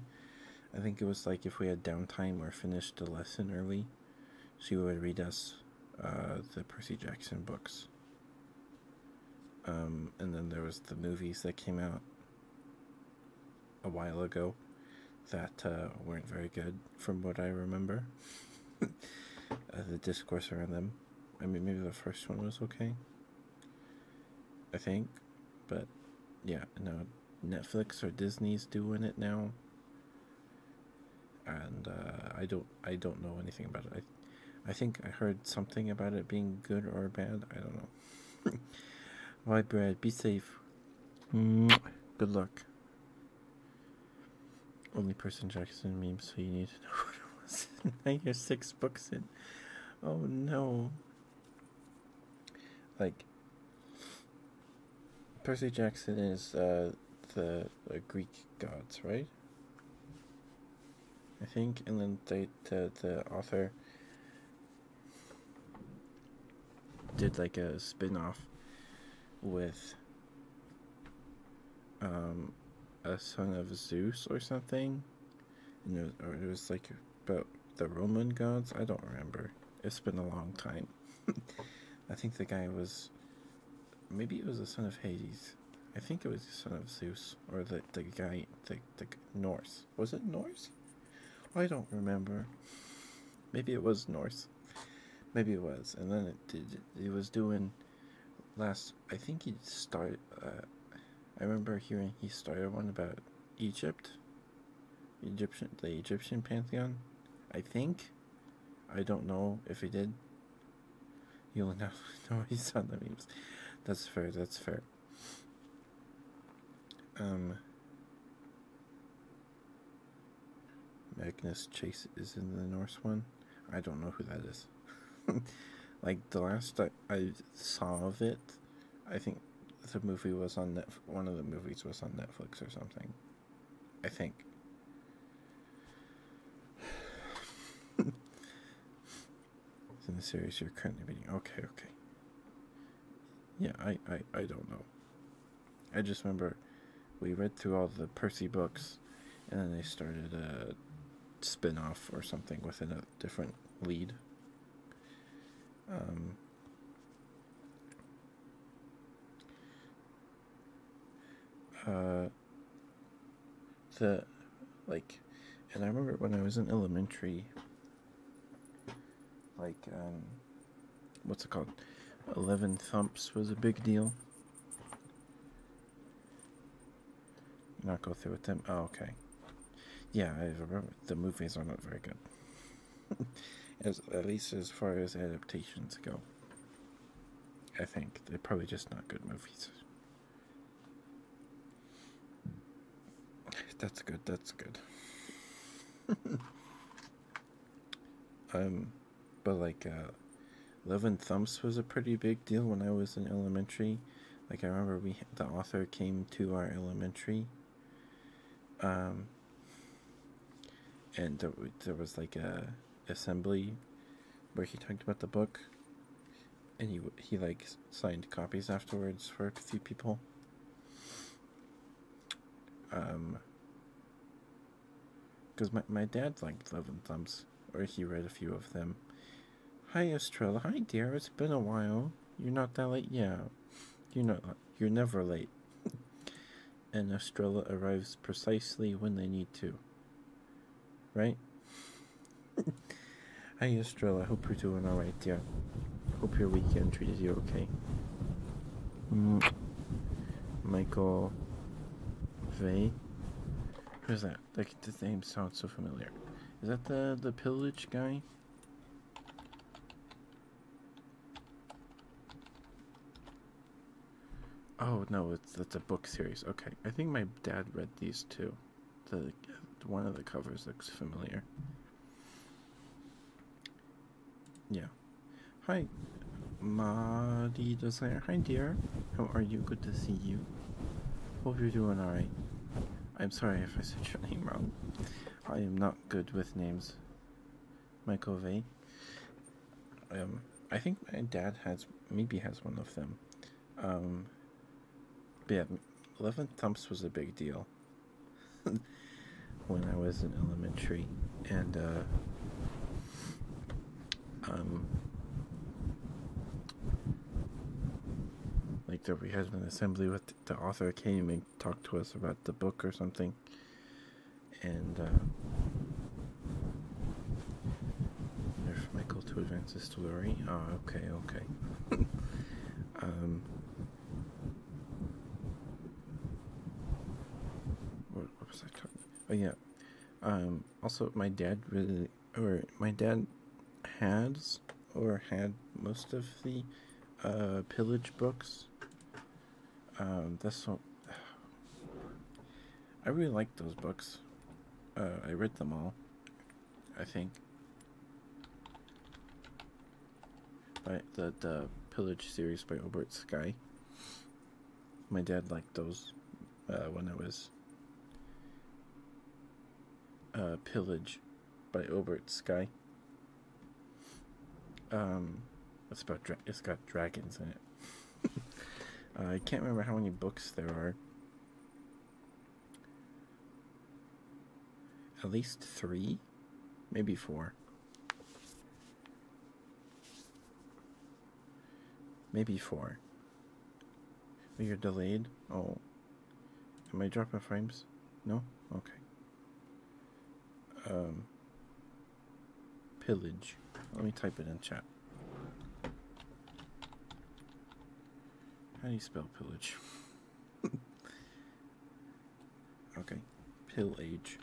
S2: I think it was like if we had downtime or finished a lesson early, she would read us uh, the Percy Jackson books. Um, and then there was the movies that came out a while ago that uh, weren't very good, from what I remember. (laughs) Uh, the discourse around them. I mean, maybe the first one was okay. I think, but yeah, no, Netflix or Disney's doing it now and uh, I don't I don't know anything about it. I, I think I heard something about it being good or bad. I don't know. All right, (laughs) Brad, be safe. Good luck. Only person Jackson meme, so you need to know (laughs) what it was. (laughs) now six books in. Oh no. Like, Percy Jackson is uh, the, Greek gods, right? I think, and then they, the, the author did like a spin off with um, a son of Zeus or something. And it was like about the Roman gods. I don't remember. It's been a long time. (laughs) I think the guy was maybe it was the son of Hades. I think it was the son of Zeus or the the guy the the Norse. Was it Norse? I don't remember. Maybe it was Norse. Maybe it was. And then it did. It was doing last. I think he started. Uh, I remember hearing he started one about Egypt. Egyptian, the Egyptian pantheon. I think. I don't know if he did. You'll (laughs) now know he saw the memes. That's fair, that's fair. Um Magnus Chase is in the Norse one. I don't know who that is. (laughs) like the last I, I saw of it, I think the movie was on Netf- one of the movies was on Netflix or something. I think. it's (sighs) in the series you're currently reading. Okay, okay. Yeah, I, I, I don't know. I just remember we read through all the Percy books, and then they started a spin off or something within a different lead. Um, uh, the like and I remember when I was in elementary like um what's it called? Eleven thumps was a big deal. Not go through with them. Oh, okay. Yeah, I remember the movies are not very good. (laughs) as at least as far as adaptations go. I think they're probably just not good movies. That's good. That's good. (laughs) um, but like, uh, Love and Thumps was a pretty big deal when I was in elementary. Like I remember we the author came to our elementary. Um, and there, there was like a assembly where he talked about the book, and he he like signed copies afterwards for a few people. Um, because my my dad liked Love and Thumbs, or he read a few of them. Hi Estrella, hi dear. It's been a while. You're not that late, yeah. You're not. You're never late and Estrella arrives precisely when they need to. Right? Hi (laughs) Estrella, hope you're doing alright, Yeah. Hope your weekend treated you okay. Michael Vay? Who's that? Like the name sounds so familiar. Is that the the pillage guy? Oh no, it's that's a book series. Okay, I think my dad read these too. The one of the covers looks familiar. Yeah. Hi, Madi Desire. Hi, dear. How are you? Good to see you. Hope you're doing alright. I'm sorry if I said your (laughs) name wrong. I am not good with names. Michael V. Um, I think my dad has maybe has one of them. Um, yeah, eleven thumps was a big deal (laughs) when I was in elementary, and uh, um, like there we had an assembly with the author came and talked to us about the book or something, and uh, Nerf Michael to advance the story. Ah, oh, okay, okay. (laughs) um, what, was I Oh yeah. Um, also, my dad really, or my dad has or had most of the uh, pillage books. Um, that's all. I really liked those books. Uh, I read them all, I think. By the, the Pillage series by Obert Sky. My dad liked those uh, when I was uh, Pillage by Obert Sky. Um, it's about it's got dragons in it. (laughs) Uh, I can't remember how many books there are. At least three, maybe four. Maybe four. Oh, you're delayed? Oh. Am I dropping frames? No? Okay. Um, pillage. Let me type it in chat. How do you spell pillage? (laughs) okay, pillage.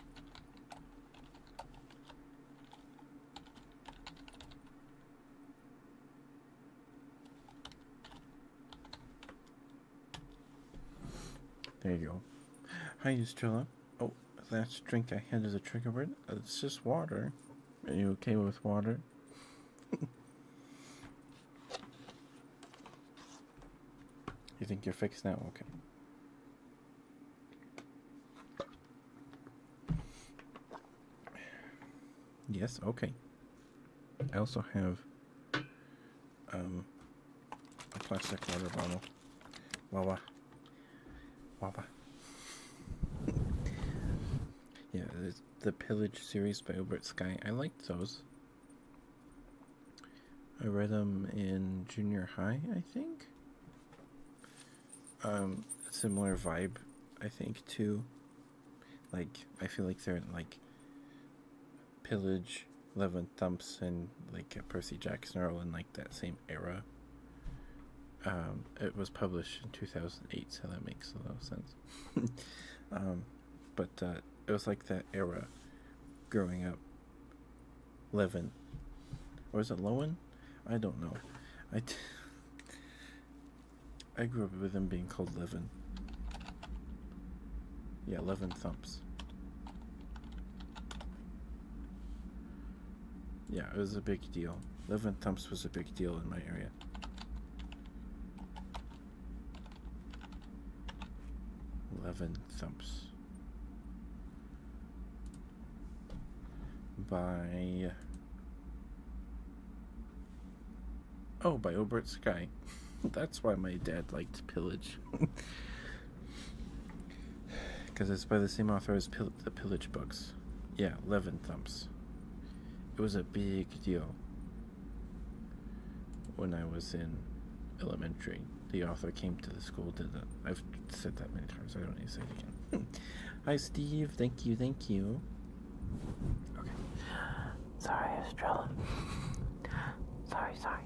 S2: There you go. Hi, Estrella. Oh, last drink I had as a trigger word. Uh, it's just water. Are you okay with water? you think you're fixed now? Okay. Yes, okay. I also have um, a plastic water bottle. Wawa. Wapa. (laughs) yeah, the Pillage series by Obert Sky. I liked those. I read them in junior high, I think. Um, similar vibe, I think, too. Like, I feel like they're like Pillage, Thumps, and like Percy Jackson are all in like that same era. Um, it was published in 2008, so that makes a lot of sense. (laughs) um, but uh, it was like that era growing up. Levin. Or is it Lowen? I don't know. (laughs) I grew up with him being called Levin. Yeah, Levin Thumps yeah, it was a big deal. Living thumps was a big deal in my area. Eleven thumps by oh by Obert Sky. (laughs) That's why my dad liked pillage. Because (laughs) it's by the same author as Pillage the pillage books. Yeah, Levin Thumps. It was a big deal when I was in elementary. The author came to the school, did that. I've said that many times, I don't need to say it again. (laughs) Hi, Steve. Thank you, thank you. Okay. Sorry, I (laughs) sorry, sorry.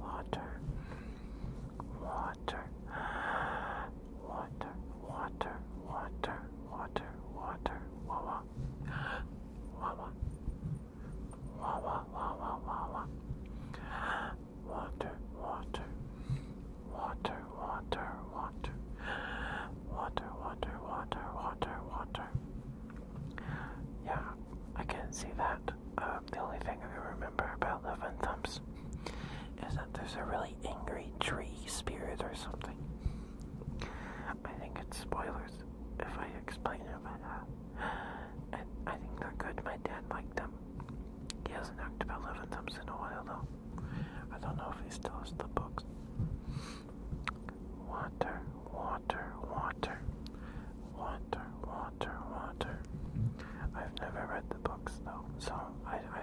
S2: Water
S1: water, water, water, water, water, water, wawa, wawa, wawa, wawa, wawa, water, water, water, water, water, water, water, water, water, water. Yeah, I can see that. Uh, the only thing I remember about Love and Thumbs is that there's a really angry tree spirit or something. I think it's spoilers if I explain it, but I, think they're good. My dad liked them. He hasn't talked about Love Thumbs in a while, though. I don't know if he still has the books. Water, water, water. Water, water, water. I've never read the books, though, so I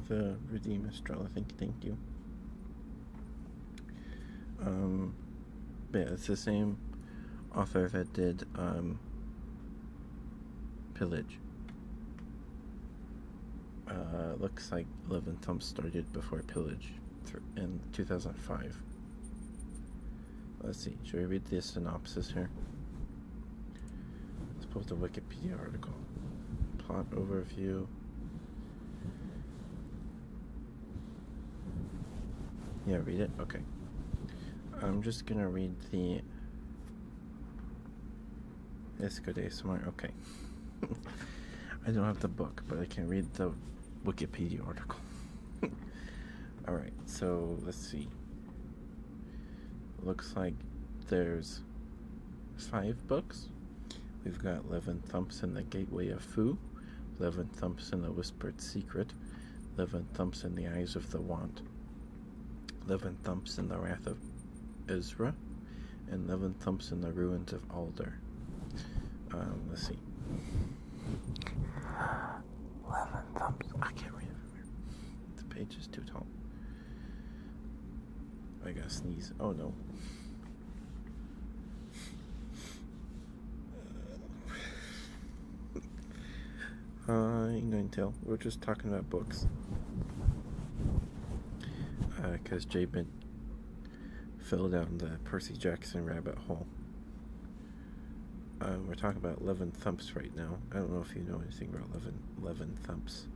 S2: the Redeem Estrella. Thank, thank you. Um, yeah, it's the same author that did um, Pillage. Uh, looks like Love and started before Pillage in 2005. Let's see, should we read the synopsis here? Let's post a Wikipedia article. Plot overview. Yeah, read it? Okay. I'm just gonna read the Isco Day Okay. (laughs) I don't have the book, but I can read the Wikipedia article. (laughs) Alright, so let's see. Looks like there's five books. We've got eleven thumps in The Gateway of Fu, thumps in The Whispered Secret, eleven thumps in The Eyes of the Want, eleven thumps in The Wrath of Ezra, and eleven thumps in The Ruins of Alder. Um, let's see. Eleven thumps. I can't read from here. The page is too tall. I gotta sneeze. Oh no. Uh, I ain't going tell. We're just talking about books. Because uh, Jay been fell down the Percy Jackson rabbit hole. Uh, we're talking about Levin Thumps right now. I don't know if you know anything about Levin, Levin Thumps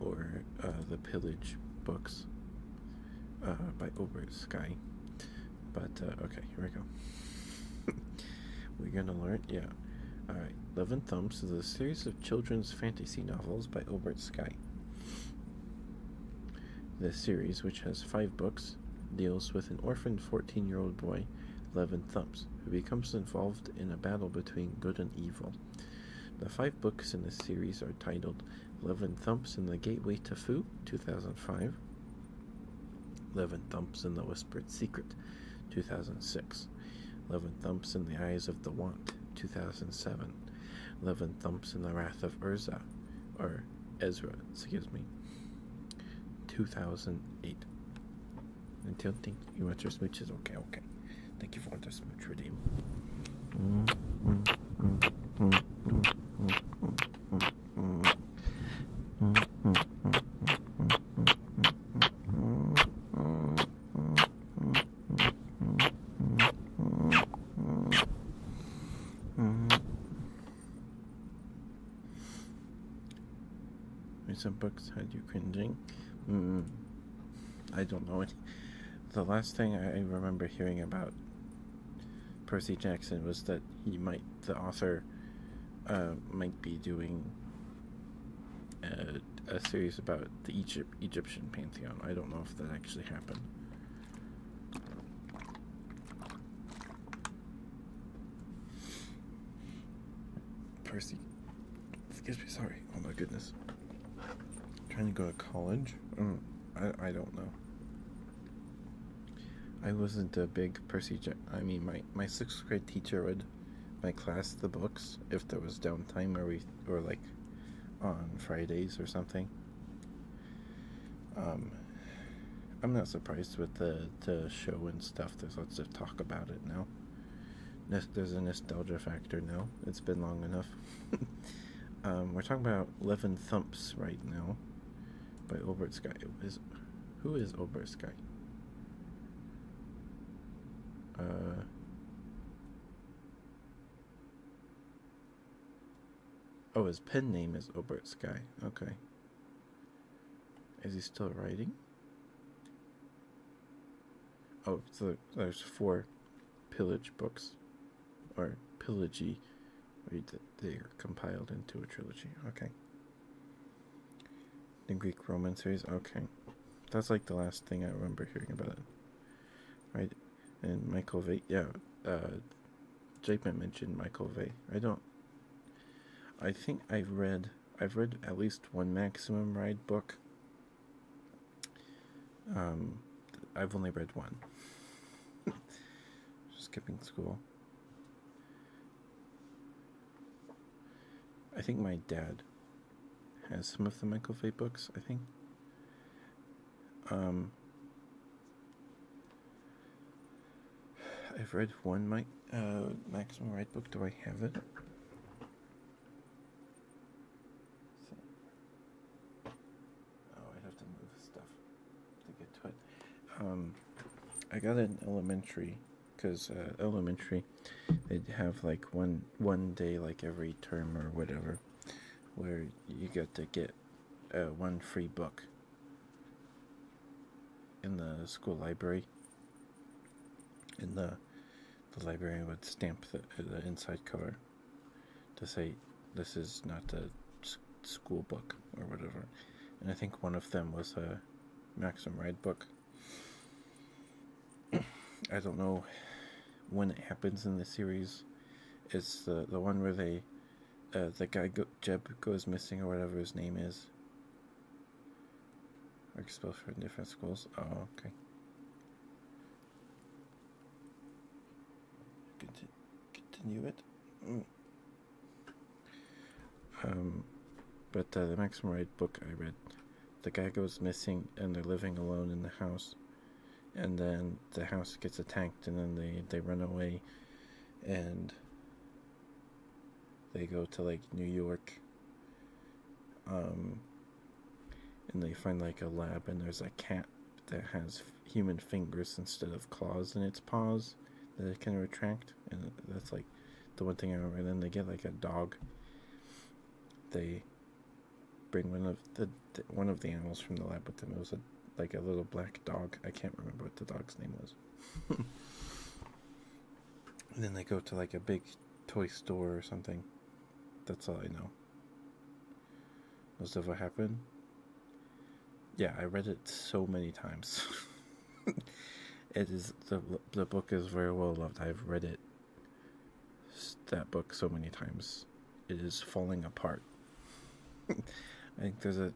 S2: or uh, the Pillage books uh, by Obert Sky. But uh, okay, here we go. (laughs) We're gonna learn, yeah. Alright, Love and Thumbs is a series of children's fantasy novels by Obert Sky. The series, which has five books, deals with an orphaned 14 year old boy, Levin Thumps, who becomes involved in a battle between good and evil. The five books in this series are titled Eleven Thumps in the Gateway to Fu, 2005, Eleven Thumps in the Whispered Secret, 2006, Eleven Thumps in the Eyes of the Want, 2007, Eleven Thumps in the Wrath of Urza, or Ezra, excuse me, 2008. Until think you want switch? Is Okay, okay. Thank you for the switch, redeem.
S3: Mm, mm, mm, mm, mm, mm, mm, mm. Mm, mm, mm, mm, mm, mm, mm, mm.
S2: Some books had you cringing. Mm -mm. I don't know any. The last thing I remember hearing about Percy Jackson was that he might, the author, uh, might be doing a, a series about the Egypt Egyptian pantheon. I don't know if that actually happened. Percy, excuse me. Sorry. Oh my goodness. Trying to go to college? Mm, I, I don't know. I wasn't a big Percy Jack. I mean, my, my sixth grade teacher would, my class, the books, if there was downtime or we, or like on Fridays or something. Um, I'm not surprised with the, the show and stuff. There's lots of talk about it now. There's a nostalgia factor now. It's been long enough. (laughs) um, we're talking about Levin Thumps right now by Obert Sky. Is, who is Obert Sky? Uh, oh, his pen name is Obert Sky. Okay. Is he still writing? Oh, so there's four pillage books, or pillagey. They are compiled into a trilogy. Okay. The Greek Roman series. Okay, that's like the last thing I remember hearing about it. Right, and Michael Vay. Yeah, uh, mentioned Michael Vay. I don't. I think I've read. I've read at least one Maximum Ride book. Um, I've only read one. (laughs) Skipping school. I think my dad has some of the Michael Fay books, I think. Um, I've read one Mike, uh, Maximum Ride book. Do I have it? oh, I have to move stuff to get to it. Um, I got an elementary because uh, elementary they'd have like one one day like every term or whatever where you got to get uh, one free book in the school library in the the librarian would stamp the, the inside cover to say this is not a school book or whatever. And I think one of them was a Maxim Ride book. I don't know when it happens in the series. It's the the one where they, uh, the guy Jeb goes missing or whatever his name is. Are expelled from different schools. Oh, okay continue it. Mm. Um, but uh, the Maximum right book I read, the guy goes missing and they're living alone in the house, and then the house gets attacked and then they they run away, and they go to like New York. Um, and they find like a lab and there's a cat that has human fingers instead of claws in its paws that it can retract and that's like the one thing i remember then they get like a dog they bring one of the, the one of the animals from the lab with them it was a like a little black dog i can't remember what the dog's name was (laughs) and then they go to like a big toy store or something that's all i know does that ever happen? Yeah, I read it so many times. (laughs) it is the the book is very well loved. I've read it that book so many times. It is falling apart. (laughs) I think there's a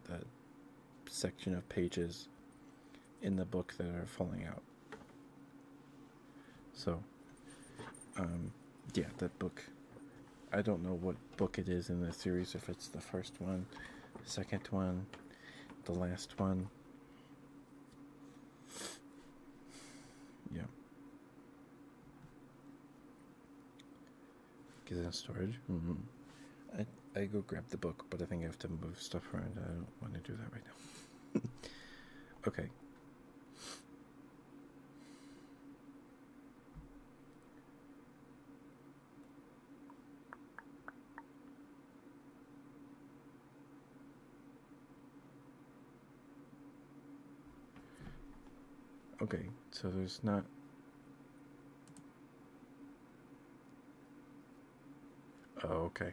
S2: section of pages in the book that are falling out. So, um, yeah, that book. I don't know what book it is in the series, if it's the first one, second one, the last one. Yeah. Get it in storage? Mm -hmm. I, I go grab the book, but I think I have to move stuff around. I don't want to do that right now. (laughs) okay. Okay, so there's not. Oh, okay.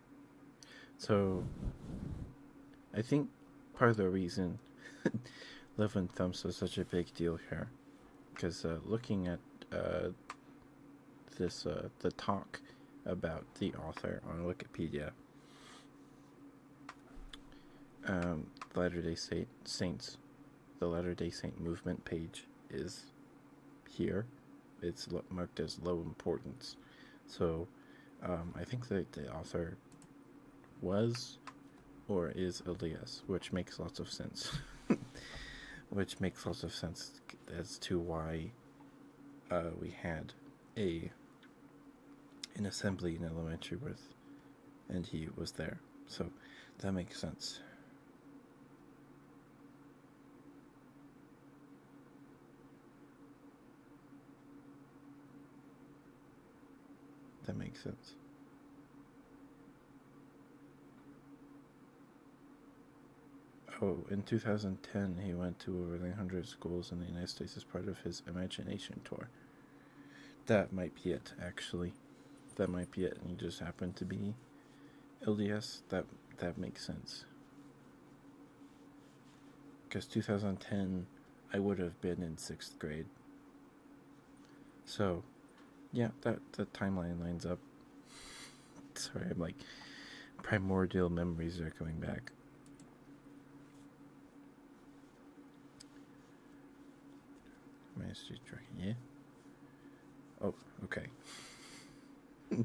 S2: So I think part of the reason (laughs) Love and Thumbs was such a big deal here, because uh, looking at uh, this uh, the talk about the author on Wikipedia, um, Latter Day Saint Saints, the Latter Day Saint movement page is here, it's marked as low importance. So um, I think that the author was or is Elias, which makes lots of sense. (laughs) which makes lots of sense as to why uh, we had a an assembly in elementary with, and he was there. So that makes sense. That makes sense. Oh, in 2010, he went to over 900 schools in the United States as part of his Imagination Tour. That might be it, actually. That might be it, and he just happened to be LDS. That that makes sense. Because 2010, I would have been in sixth grade. So, yeah, that the timeline lines up. Sorry, I'm like primordial memories are coming back. My tracking, yeah. Oh, okay. (laughs)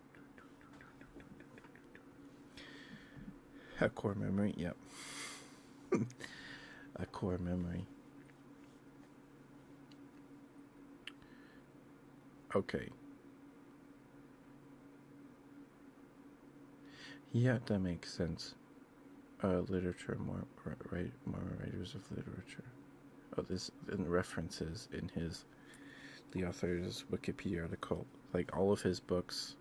S2: A core memory, yep. (laughs) A core memory. Okay. Yeah, that makes sense. Uh, literature, more more writers of literature. Oh, this and references in his with the author's Wikipedia article. Like all of his books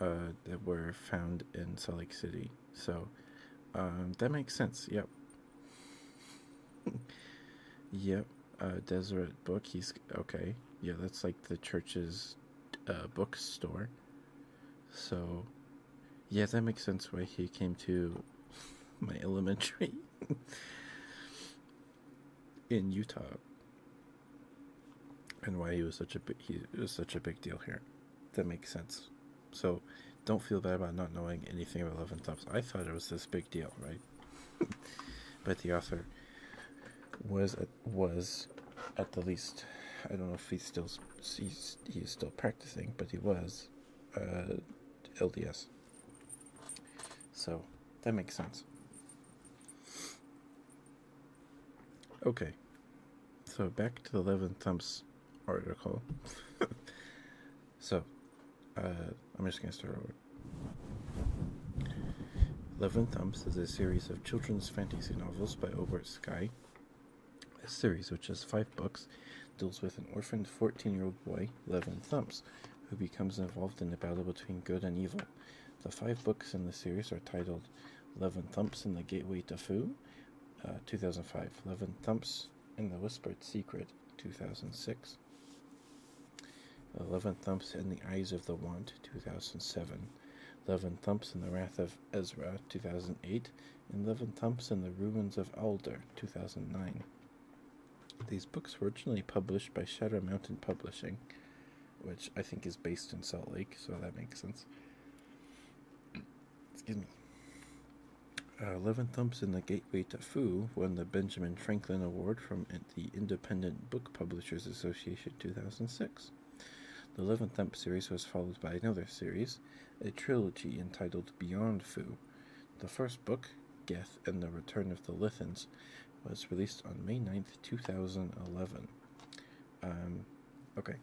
S2: uh, that were found in Salt Lake City. So um, that makes sense. Yep. (laughs) yep. Uh, Deseret book. He's okay. Yeah, that's like the church's uh, bookstore. So, yeah, that makes sense why he came to (laughs) my elementary. (laughs) in Utah, and why he was such a big, he was such a big deal here. That makes sense. So, don't feel bad about not knowing anything about Love and Thumbs. I thought it was this big deal, right? (laughs) but the author was at, was at the least. I don't know if he's still he's, he's still practicing, but he was uh, LDS. So that makes sense. Okay, so back to the Levin Thump's article. (laughs) so uh, I'm just going to start over. Levin Thumps is a series of children's fantasy novels by Obert Sky. A series, which has five books, deals with an orphaned 14 year old boy Levin Thumps, who becomes involved in the battle between good and evil. The five books in the series are titled Levin Thumps and the Gateway to Foo, uh, 2005, Levin Thumps and the Whispered Secret, 2006, Levin Thumps and the Eyes of the Want, 2007, Levin Thumps and the Wrath of Ezra, 2008, and Levin Thumps and the Ruins of Alder, 2009. These books were originally published by Shadow Mountain Publishing, which I think is based in Salt Lake, so that makes sense. (clears throat) Excuse me. Uh, Levin Thompson, The Gateway to Foo, won the Benjamin Franklin Award from the Independent Book Publishers Association 2006. The Levin Thump series was followed by another series, a trilogy entitled Beyond Foo, the first book, Geth and the Return of the Lithans, was released on May 9th, 2011. Um, okay.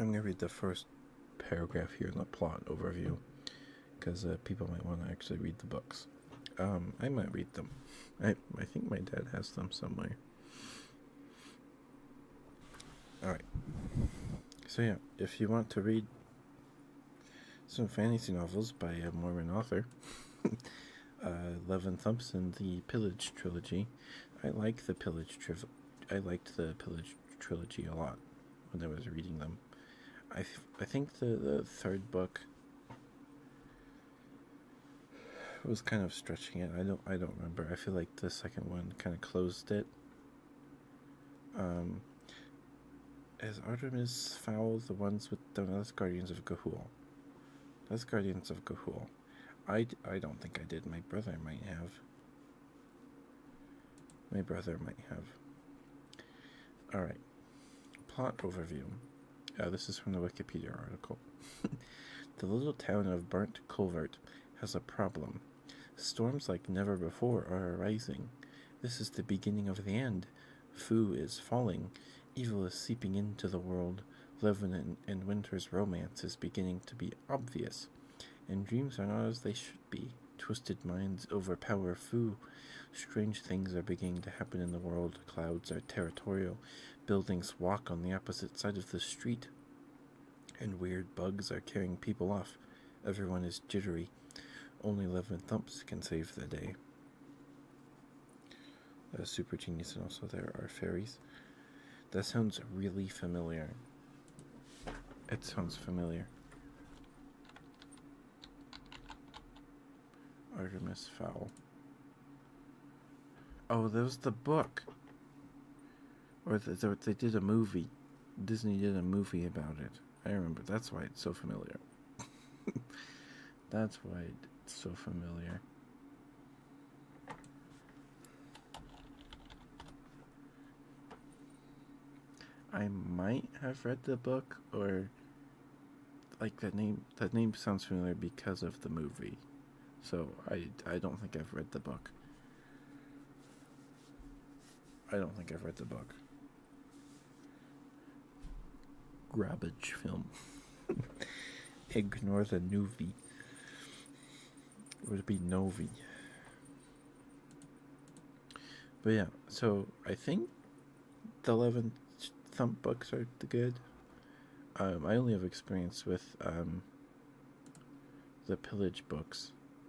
S2: I'm going to read the first paragraph here in the plot overview because uh, people might want to actually read the books. Um, I might read them. I, I think my dad has them somewhere. Alright. So, yeah, if you want to read some fantasy novels by a Mormon author, (laughs) uh, Levin Thompson, the Pillage trilogy. I like the Pillage tri- I liked the Pillage trilogy a lot when I was reading them. I I think the, the third book was kind of stretching it. I don't I don't remember. I feel like the second one kind of closed it um, as Artemis Fowl the ones with the Last Guardians of Gahul? Last Guardians of Gahul. I, I don't think I did. My brother might have. My brother might have. Alright. Plot overview. Uh, this is from the Wikipedia article. (laughs) the little town of Burnt Culvert has a problem. Storms like never before are arising. This is the beginning of the end. Fu is falling. Evil is seeping into the world. Levin and Winter's romance is beginning to be obvious. And dreams are not as they should be. Twisted minds overpower Fu. Strange things are beginning to happen in the world. Clouds are territorial. Buildings walk on the opposite side of the street and weird bugs are carrying people off. Everyone is jittery. Only Levin Thumps can save the day. Uh, super genius, and also there are fairies. That sounds really familiar. It sounds familiar. Artemis Fowl. Oh, there's the book or they, did a movie. Disney did a movie about it. I remember. That's why it's so familiar. (laughs) That's why it's so familiar. I might have read the book or like that name that name sounds familiar because of the movie. So I I don't think I've read the book. I don't think I've read the book. Grabbage film. (laughs) Ignore the novi. would be Novi. But yeah, so I think the 11 thump books are the good. Um, I only have experience with um, the pillage books.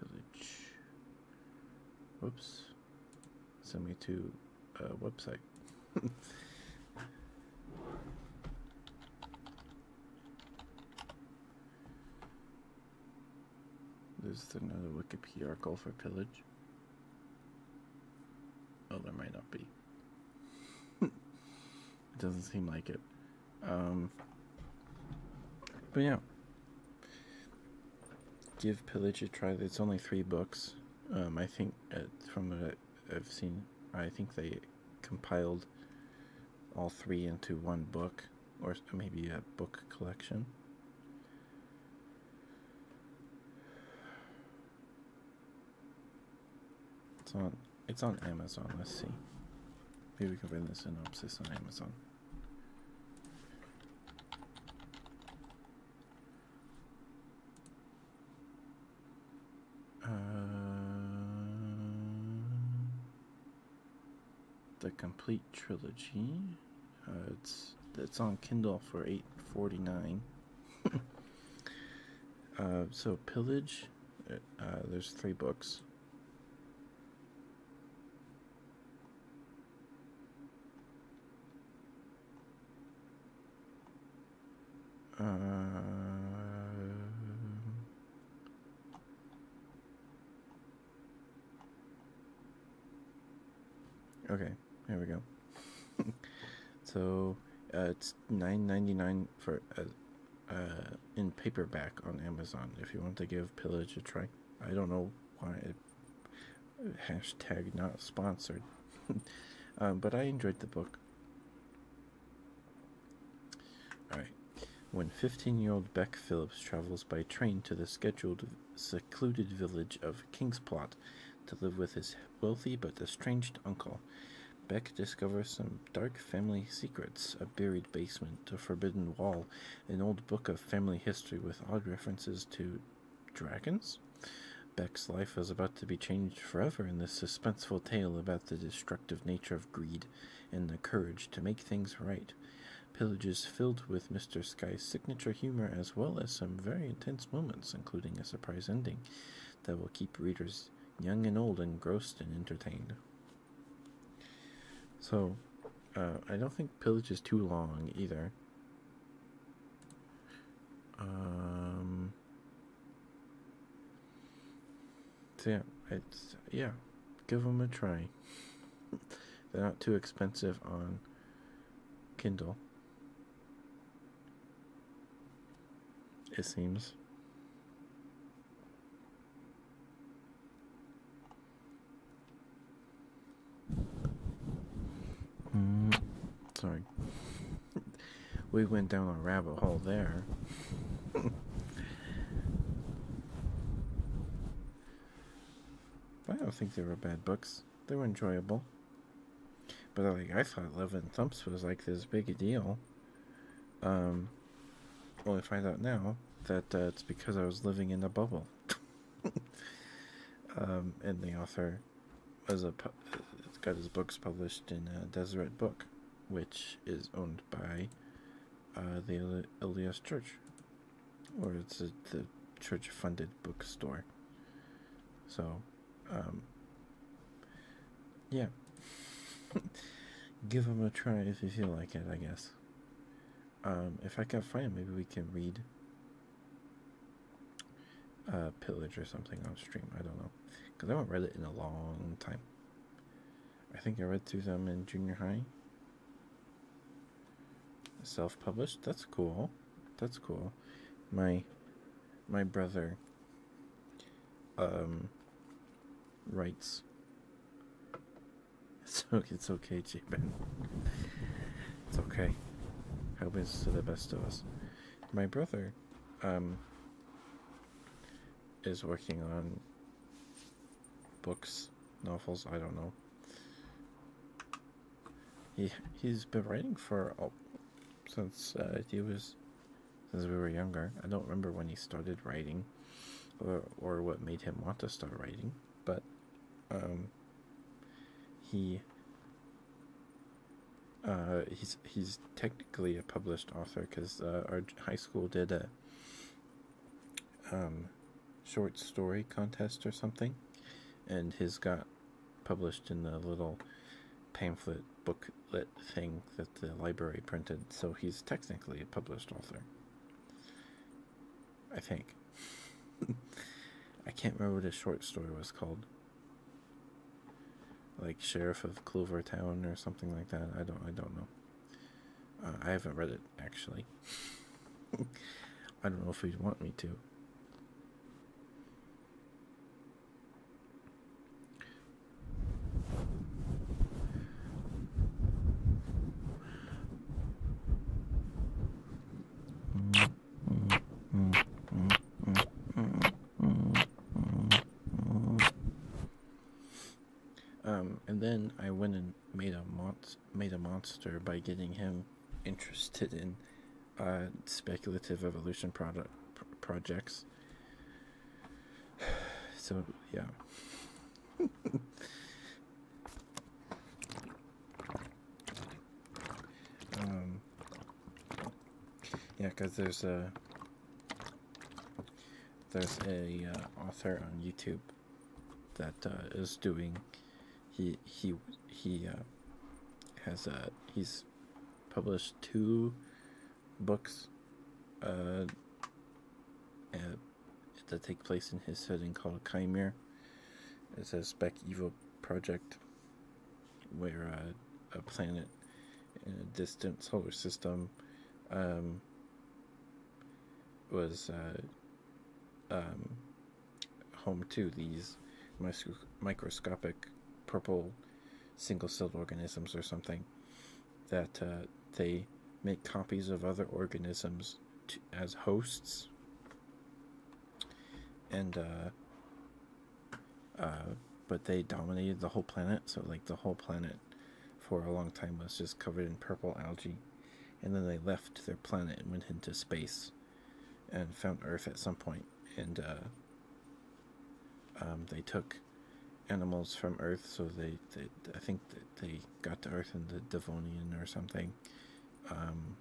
S2: Village. Whoops. Send me to a website. There's another Wikipedia article for pillage. Oh, there might not be. (laughs) it doesn't seem like it. Um, but yeah. Give Pillage a try. It's only three books. Um, I think, uh, from what I've seen, I think they compiled all three into one book or maybe a book collection. It's on it's on Amazon, let's see. Maybe we can find the synopsis on Amazon. Uh, the complete trilogy. Uh, it's it's on Kindle for eight forty nine. (laughs) uh, so pillage, uh, uh, there's three books. Uh, Okay, here we go. (laughs) so uh, it's nine ninety nine for uh, uh, in paperback on Amazon. If you want to give Pillage a try, I don't know why. It, hashtag not sponsored, (laughs) um, but I enjoyed the book. All right when 15 year old Beck Phillips travels by train to the scheduled secluded village of Kingsplot to live with his wealthy but estranged uncle. Beck discovers some dark family secrets, a buried basement, a forbidden wall, an old book of family history with odd references to dragons? Beck's life is about to be changed forever in this suspenseful tale about the destructive nature of greed and the courage to make things right. Pillages filled with Mr. Sky's signature humor as well as some very intense moments, including a surprise ending that will keep readers young and old engrossed and entertained. So, uh, I don't think Pillage is too long either. Um, so yeah, it's, yeah, give them a try. They're not too expensive on Kindle. It seems. Mm, sorry. we went down a rabbit hole there. (laughs) I don't think they were bad books. They were enjoyable. But like I thought Love and Thumps was like this big a deal. Um only find out now that uh, it's because I was living in a bubble. (laughs) um, and the author was a got his books published in a Deseret Book, which is owned by uh, the LDS Church, or it's the church-funded bookstore. So, um, yeah, (laughs) give them a try if you feel like it. I guess. Um, if I can find, maybe we can read. Uh, pillage or something on stream. I don't know, because I haven't read it in a long time. I think I read through them in junior high, Self-published? That's cool. That's cool. My my brother um writes (laughs) so it's okay, Japan. It's okay. Happens to the best of us. My brother um is working on books, novels, I don't know. He he's been writing for oh, since uh, he was since we were younger. I don't remember when he started writing or or what made him want to start writing, but um he uh, he's he's technically a published author because uh, our high school did a um, short story contest or something, and his got published in the little pamphlet booklet thing that the library printed, so he's technically a published author. I think. (laughs) I can't remember what his short story was called. Like Sheriff of Clover Town or something like that. I don't I don't know. Uh, I haven't read it actually. I don't know if he'd want me to. Um, and then I went and made a monster made a monster by getting him interested in uh, speculative evolution product projects. (sighs) So yeah. (laughs) Um, yeah, because there's a there's a uh, author on YouTube that uh, is doing he he he uh, has uh, he's published two books uh, that take place in his setting called Chimere. It's a spec evil project where uh, a planet in a distant solar system um, was uh, um, home to these microscopic purple single-celled organisms or something that uh, they make copies of other organisms as hosts and uh, uh, but they dominated the whole planet so like the whole planet for a long time was just covered in purple algae and then they left their planet and went into space and found Earth at some point, and uh, um, they took animals from Earth, so they, they I think that they got to Earth in the Devonian or something, um,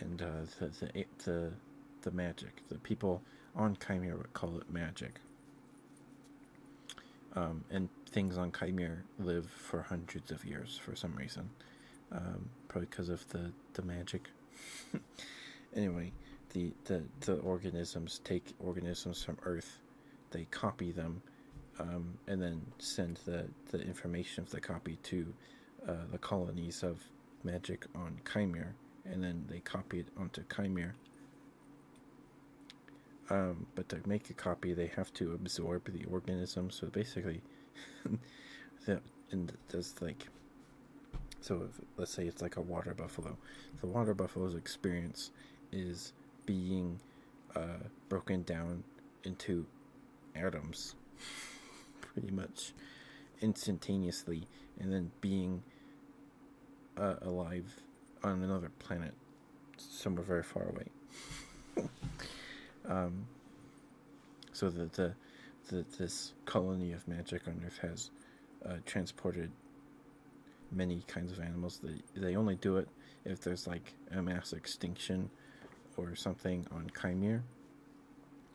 S2: and uh, the, the the the magic the people on Chimera would call it magic. Um, and things on Chimere live for hundreds of years for some reason. Um, probably because of the, the magic. (laughs) anyway, the, the, the organisms take organisms from Earth, they copy them, um, and then send the, the information of the copy to uh, the colonies of magic on Chimere, and then they copy it onto Chimere. Um, but to make a copy, they have to absorb the organism. So basically, (laughs) that and that's like. So let's say it's like a water buffalo. The water buffalo's experience is being uh, broken down into atoms, (laughs) pretty much instantaneously, and then being uh, alive on another planet somewhere very far away. Um, so the, the, this colony of magic on Earth has uh, transported many kinds of animals. They they only do it if there's like a mass extinction or something on Chimere.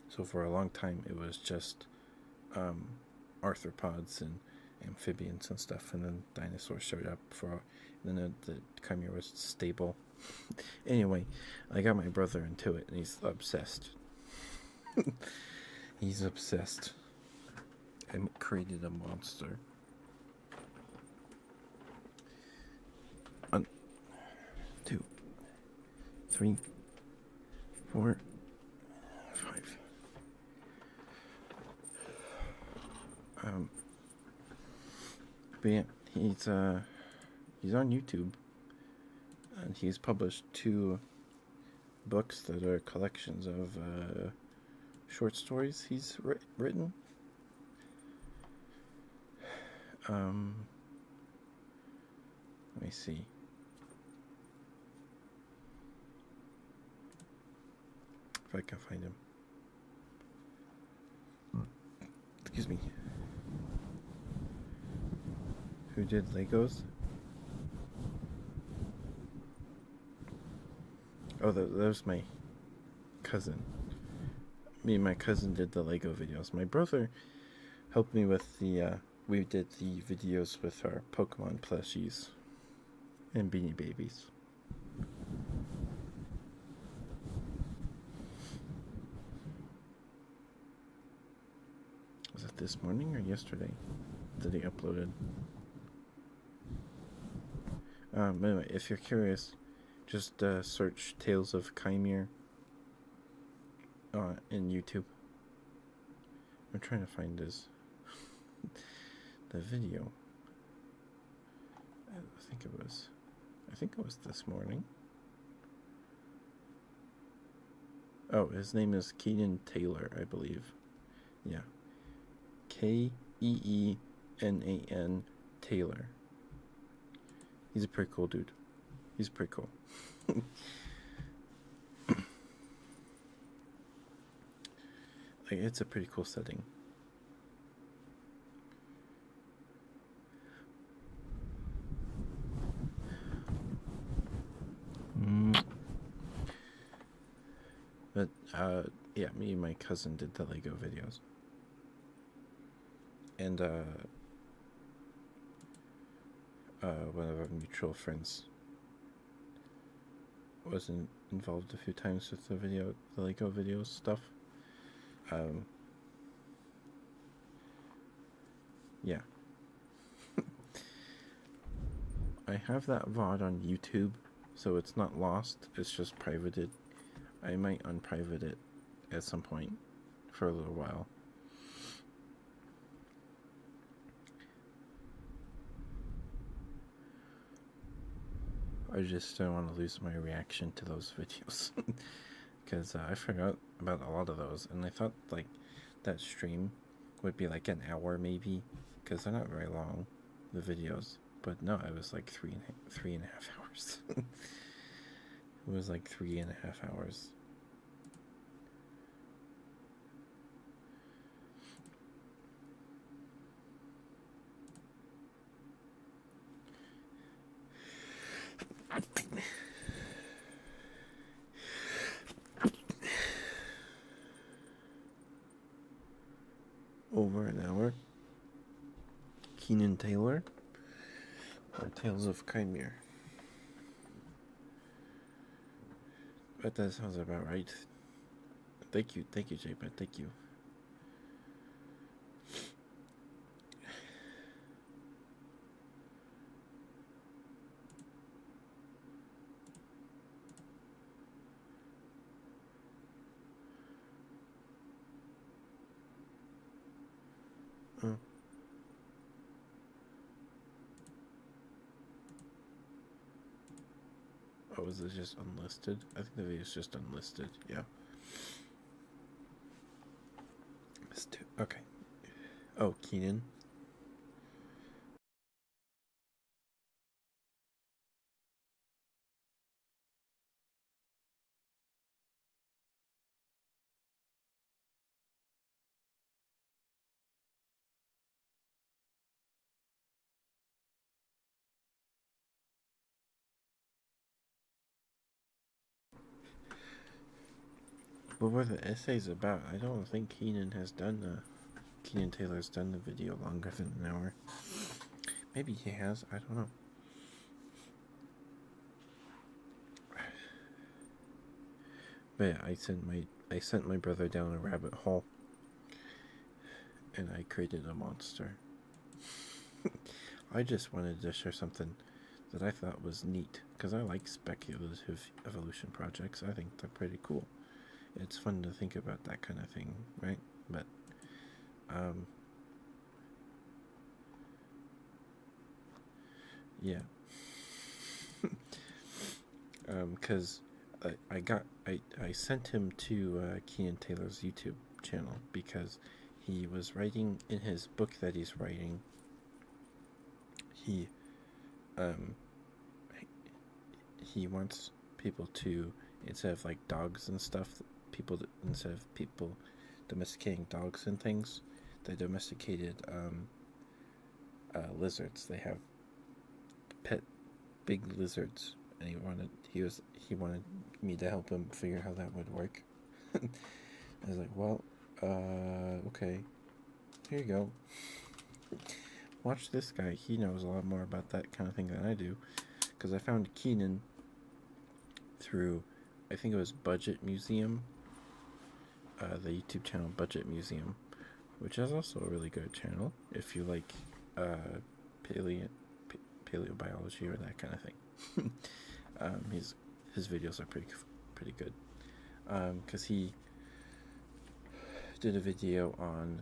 S2: So for a long time, it was just um, arthropods and amphibians and stuff, and then dinosaurs showed up for. then the, the Chimera was stable anyway, I got my brother into it, and he's obsessed. (laughs) he's obsessed. I created a monster. One, two, three, four, five. Um, but he's uh, he's on YouTube, and he's published two books that are collections of uh, short stories he's written. Um, let me see. If I can find him excuse me, who did Legos. Oh, that, was my cousin. Me and my cousin did the Lego videos. My brother helped me with the, uh, we did the videos with our Pokemon plushies and Beanie Babies. Was it this morning or yesterday that he uploaded? Um, anyway, if you're curious, just uh, search Tales of Chimere uh, in YouTube. I'm trying to find this (laughs) the video. I think it was, I think it was this morning. Oh, his name is Keenan Taylor, I believe. Yeah. K E E N A N Taylor. He's a pretty cool dude. He's pretty cool. (laughs) it's a pretty cool setting. Mm. But, uh, yeah, me and my cousin did the Lego videos. And, uh, uh one of our mutual friends was not involved a few times with the video, the Lego videos stuff. Um, yeah. (laughs) I have that VOD on YouTube, so it's not lost, it's just privated. I might unprivate it at some point for a little while. I just don't want to lose my reaction to those (laughs) videos because uh, I forgot about a lot of those, and I thought like that stream would be like an hour maybe, because they're not very long, the videos. But no, it was like three three and a half (laughs) hours. it was like three and a half hours. Over an hour. Keenan Taylor or Tales of Chimere. But that sounds about right. Thank you, thank you, JPEG, thank you. Oh. was this just unlisted? I think the video is just unlisted. Yeah. Okay. Oh, Keenan. But what are the essays about? I don't think Keenan has done the Keenan Taylor's done the video longer than an hour. Maybe he has, I don't know. But I sent my I sent my brother down a rabbit hole and I created a monster. (laughs) I just wanted to share something that I thought was neat because I like speculative evolution projects. I think they're pretty cool. It's fun to think about that kind of thing, right? But um yeah. (laughs) um cuz I, I got I I sent him to uh Keenan Taylor's YouTube channel because he was writing in his book that he's writing he um he wants people to instead of like dogs and stuff people instead of people domesticating dogs and things they domesticated um uh, lizards they have pet big lizards and he wanted he was he wanted me to help him figure how that would work (laughs) I was like, well, uh, okay. Here you go. Watch this guy. He knows a lot more about that kind of thing than I do. Because I found Keenan through, I think it was Budget Museum. Uh, the YouTube channel Budget Museum. Which is also a really good channel. If you like uh, paleo paleobiology or that kind of thing. (laughs) Um, he's his videos are pretty pretty good because um, he did a video on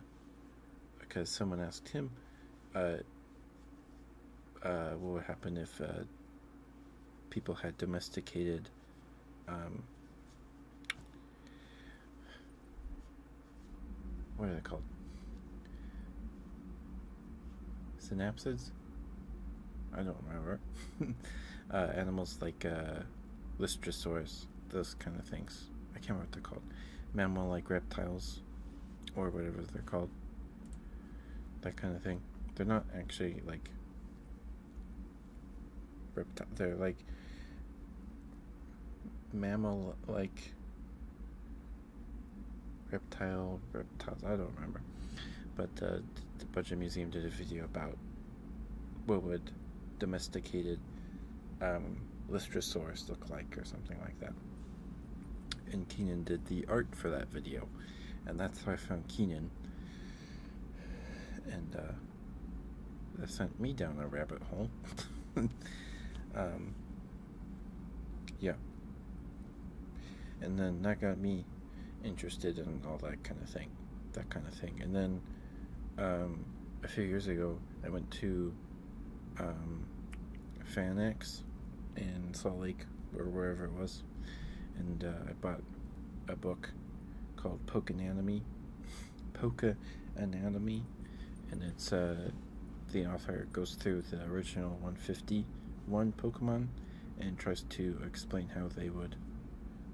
S2: because someone asked him uh, uh, what would happen if uh, people had domesticated um, what are they called synapsids? I don't remember. (laughs) uh, animals like uh, Listrosaurus, those kind of things. I can't remember what they're called. Mammal like reptiles, or whatever they're called. That kind of thing. They're not actually like reptile. They're like mammal like reptile reptiles i don't remember but uh, the budget museum did a video about what would domesticated um, look like or something like that and keenan did the art for that video and that's how i found keenan and uh, they sent me down a rabbit hole (laughs) um, yeah and then that got me interested in all that kind of thing that kind of thing and then um, a few years ago i went to um, fanex in salt lake or wherever it was and uh, i bought a book called poke anatomy poke anatomy and it's uh, the author goes through the original 151 pokemon and tries to explain how they would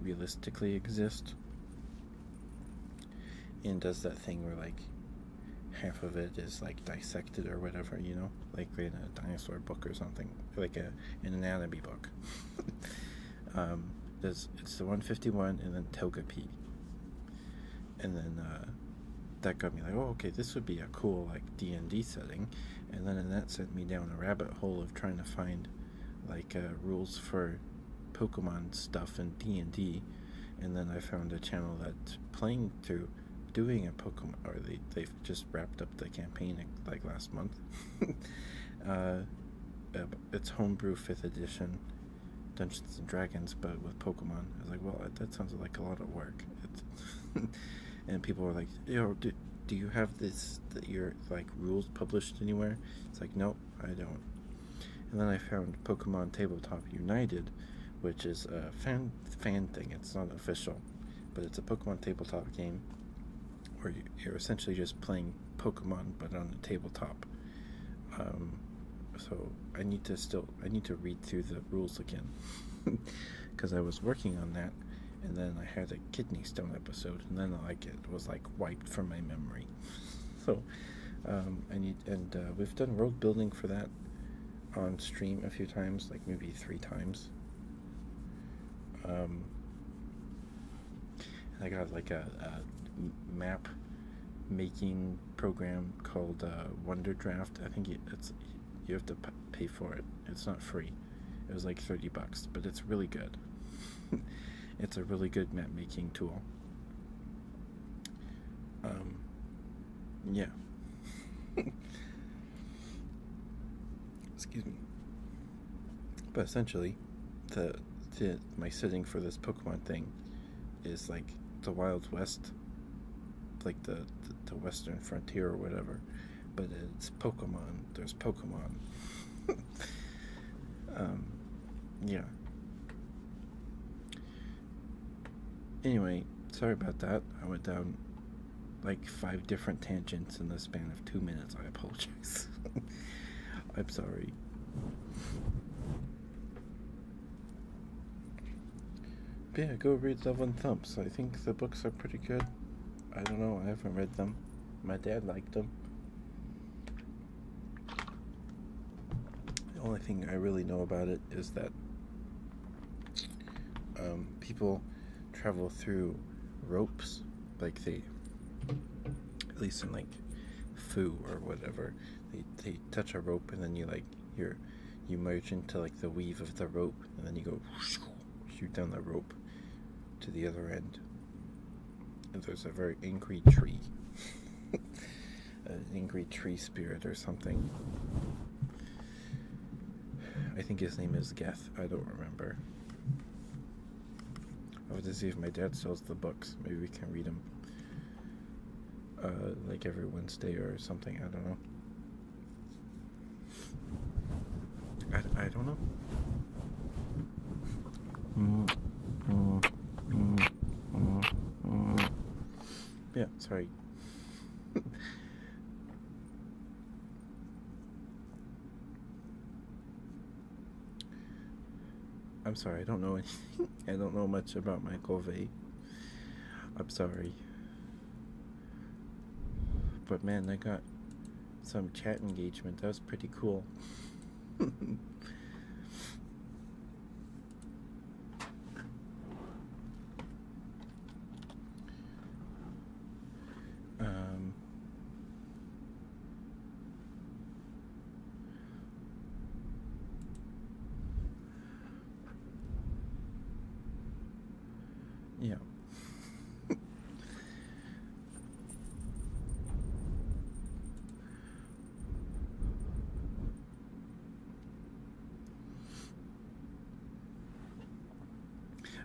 S2: realistically exist and does that thing where like half of it is like dissected or whatever you know like in a dinosaur book or something like a an anatomy book (laughs) um there's it's the 151 and then togepi and then uh that got me like oh okay this would be a cool like D&D setting, and then that sent me down a rabbit hole of trying to find like uh, rules for Pokemon stuff and D&D, and then I found a channel that's playing through doing a Pokemon, or they, they've just wrapped up the campaign like last month. (laughs) Uh, uh, it's homebrew 5th edition Dungeons and Dragons, but with Pokemon. I was like, well, that sounds like a lot of work. (laughs) and people were like, "Yo, do, do you have this that your like rules published anywhere?" It's like, no, I don't. And then I found Pokemon Tabletop United, which is a fan fan thing. It's not official, but it's a Pokemon tabletop game where you're essentially just playing Pokemon but on the tabletop. Um, so I need to still I need to read through the rules again because (laughs) I was working on that, and then I had a kidney stone episode, and then like it was like wiped from my memory. (laughs) so, um, and uh, we've done road building for that on stream a few times, like maybe three times. Um, I got like a, map making program called uh, Wonder Draft. I think it's you have to pay for it. It's not free. It was like 30 bucks, but it's really good. (laughs) it's a really good map making tool. Um, yeah. (laughs) Excuse me. But essentially, the, the my setting for this Pokemon thing is like the Wild West, like the, the Western frontier or whatever but it's Pokemon. There's Pokemon. (laughs) um, yeah. Anyway, sorry about that. I went down like five different tangents in the span of two minutes. I apologize. (laughs) I'm sorry. yeah, go read Love and Thumps. I think the books are pretty good. I don't know. I haven't read them. My dad liked them. The only thing I really know about it is that um, people travel through ropes, like they, at least in like foo or whatever, they, they touch a rope and then you like you're you merge into like the weave of the rope and then you go shoot down the rope to the other end. And there's a very angry tree. (laughs) An angry tree spirit or something. I think his name is Geth. I don't remember. I'll have to see if my dad sells the books. Maybe we can read them. Uh, like every Wednesday or something. I don't know. I, I don't know. Mm, mm, mm, yeah, sorry. (laughs) I'm sorry, I don't know (laughs) I don't know much about Michael Vay. I'm sorry. But man, I got some chat engagement. That was pretty cool. (laughs) um, yeah.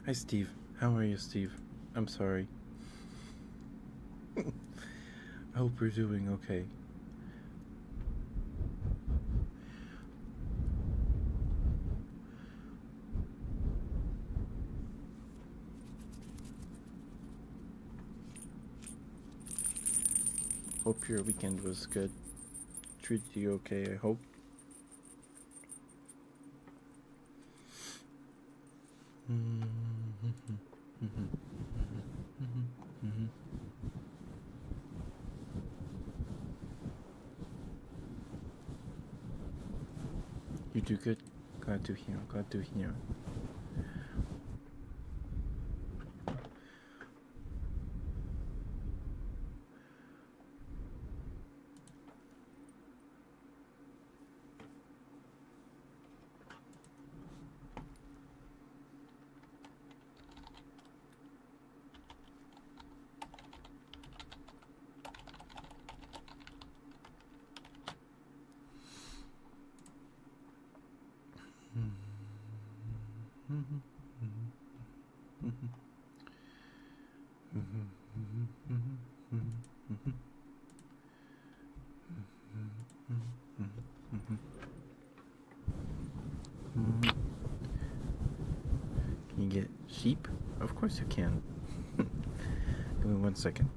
S2: Hi, Steve. How are you, Steve? I'm sorry. (laughs) I hope you're doing okay. Hope your weekend was good. Treated you okay, I hope. (laughs) You do good. Glad to hear. Glad to hear. You Hmm Sheep? Of course you can. (laughs) Give me one second.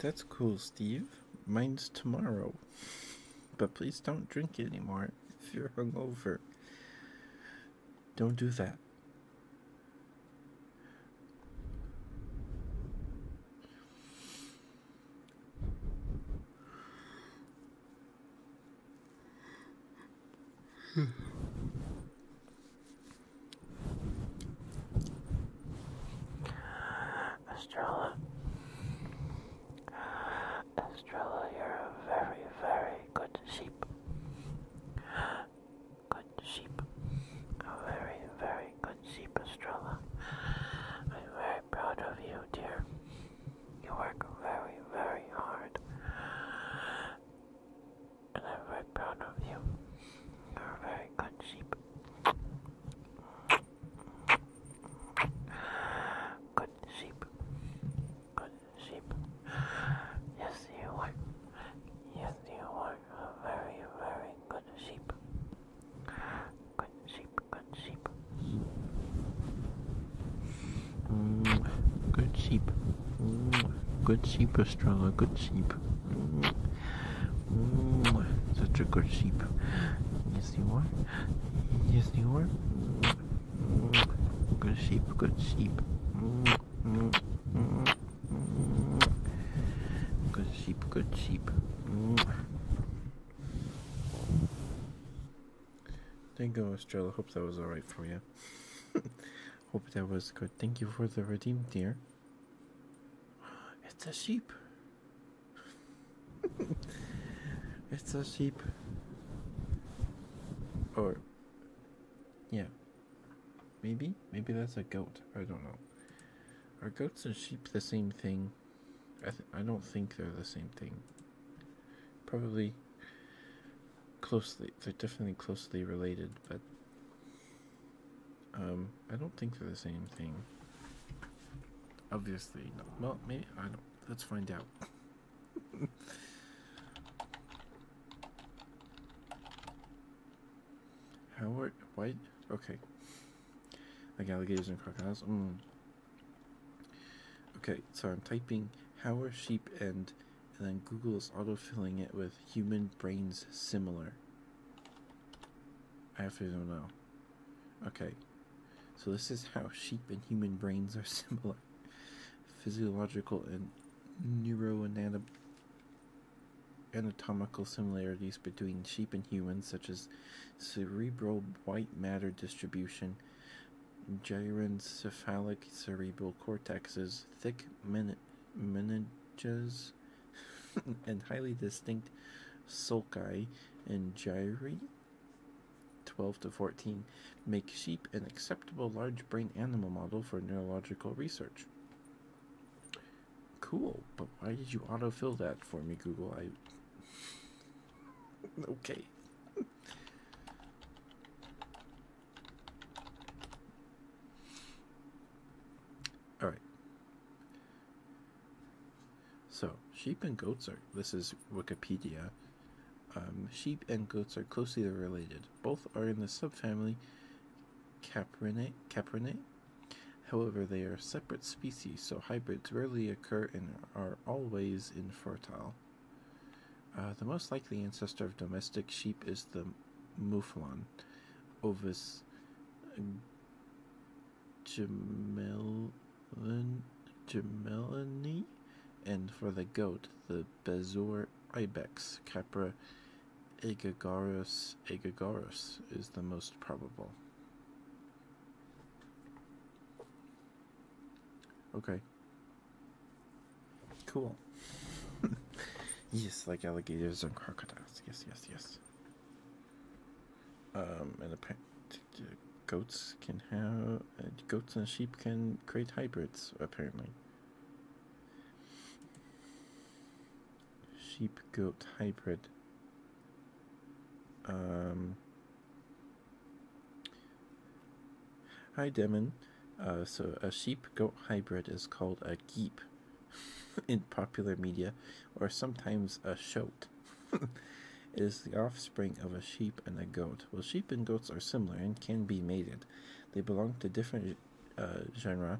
S2: That's cool, Steve. Mine's tomorrow. But please don't drink anymore if you're hungover. Don't do that. Hmm. Estrella, you're a very, very
S1: good sheep. Good sheep. A very, very good sheep, Estrella. I'm very proud of you, dear. You work very, very hard. And I'm very proud of you. You're a very good sheep. Good sheep. Good sheep. Yes, you are. Yes, you are a very, very good sheep. Good
S2: sheep, good sheep. Mm, good sheep. Mm, good sheep, Estrella. Good sheep. Mm, mm, such a good sheep. Yes, you are. Yes,
S3: you are. Mm, good sheep. Good sheep. Mm, mm,
S2: mm, mm. Good sheep. Good sheep. Mm. Thank you, Estrella. Hope that was alright for you. (laughs) Hope that was good. Thank you for the redeem, deer. It's a sheep. (laughs) it's a sheep. Or, yeah. Maybe? Maybe that's a goat. I don't know. Are goats and sheep the same thing? I, I don't think they're the same thing. Probably closely they're definitely closely related, but um, I don't think they're the same thing. Obviously Well maybe I don't let's find out. (laughs) How white? Okay. Like alligators and crocodiles. Mm. Okay, so I'm typing how are sheep and and then Google is autofilling it with human brains similar. I have to know. Okay, so this is how sheep and human brains are (laughs) similar. Physiological and neuroanatomical similarities between sheep and humans, such as cerebral white matter distribution, gyrencephalic cerebral cortexes, thick men meninges, (laughs) and highly distinct sulci and gyri. 12 to 14 make sheep an acceptable large brain animal model for neurological research. Cool, but why did you autofill that for me, Google? I. (laughs) okay. All right. So, sheep and goats are, this is Wikipedia. Um, sheep and goats are closely related. Both are in the subfamily Caprinae. However, they are separate species, so hybrids rarely occur and are always infertile. Uh, the most likely ancestor of domestic sheep is the mouflon, Ovis gemellin, gemellini, and for the goat, the bezoar ibex, Capra aegagarus aegagarus, is the most probable. Okay. Cool. (laughs) yes, like alligators and crocodiles. Yes, yes, yes. Um, and apparently, goats can have uh, goats and sheep can create hybrids. Apparently, sheep goat hybrid. Um, Hi, Demon. Uh, so a sheep-goat hybrid is called a geep (laughs) in popular media, or sometimes a shoat. (laughs) it is the offspring of a sheep and a goat. Well, sheep and goats are similar and can be mated. They belong to different uh, genera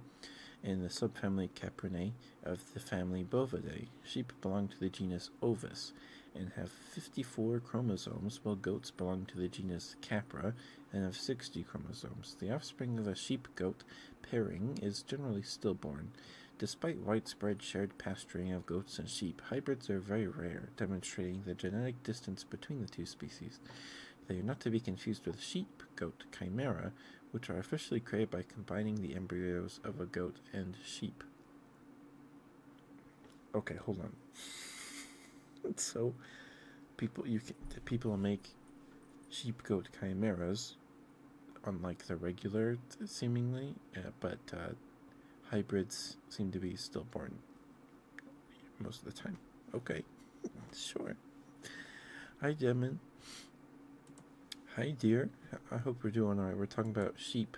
S2: in the subfamily Caprinae of the family Bovidae. Sheep belong to the genus Ovis and have 54 chromosomes, while goats belong to the genus Capra and of 60 chromosomes. The offspring of a sheep goat pairing is generally stillborn. Despite widespread shared pasturing of goats and sheep, hybrids are very rare, demonstrating the genetic distance between the two species. They are not to be confused with sheep goat chimera, which are officially created by combining the embryos of a goat and sheep. Okay, hold on. (laughs) so, people you can, people make sheepgoat chimeras, unlike the regular seemingly, uh, but uh, hybrids seem to be stillborn most of the time. Okay, (laughs) sure. Hi, Demon. Hi, dear. I hope we're doing all right. We're talking about sheep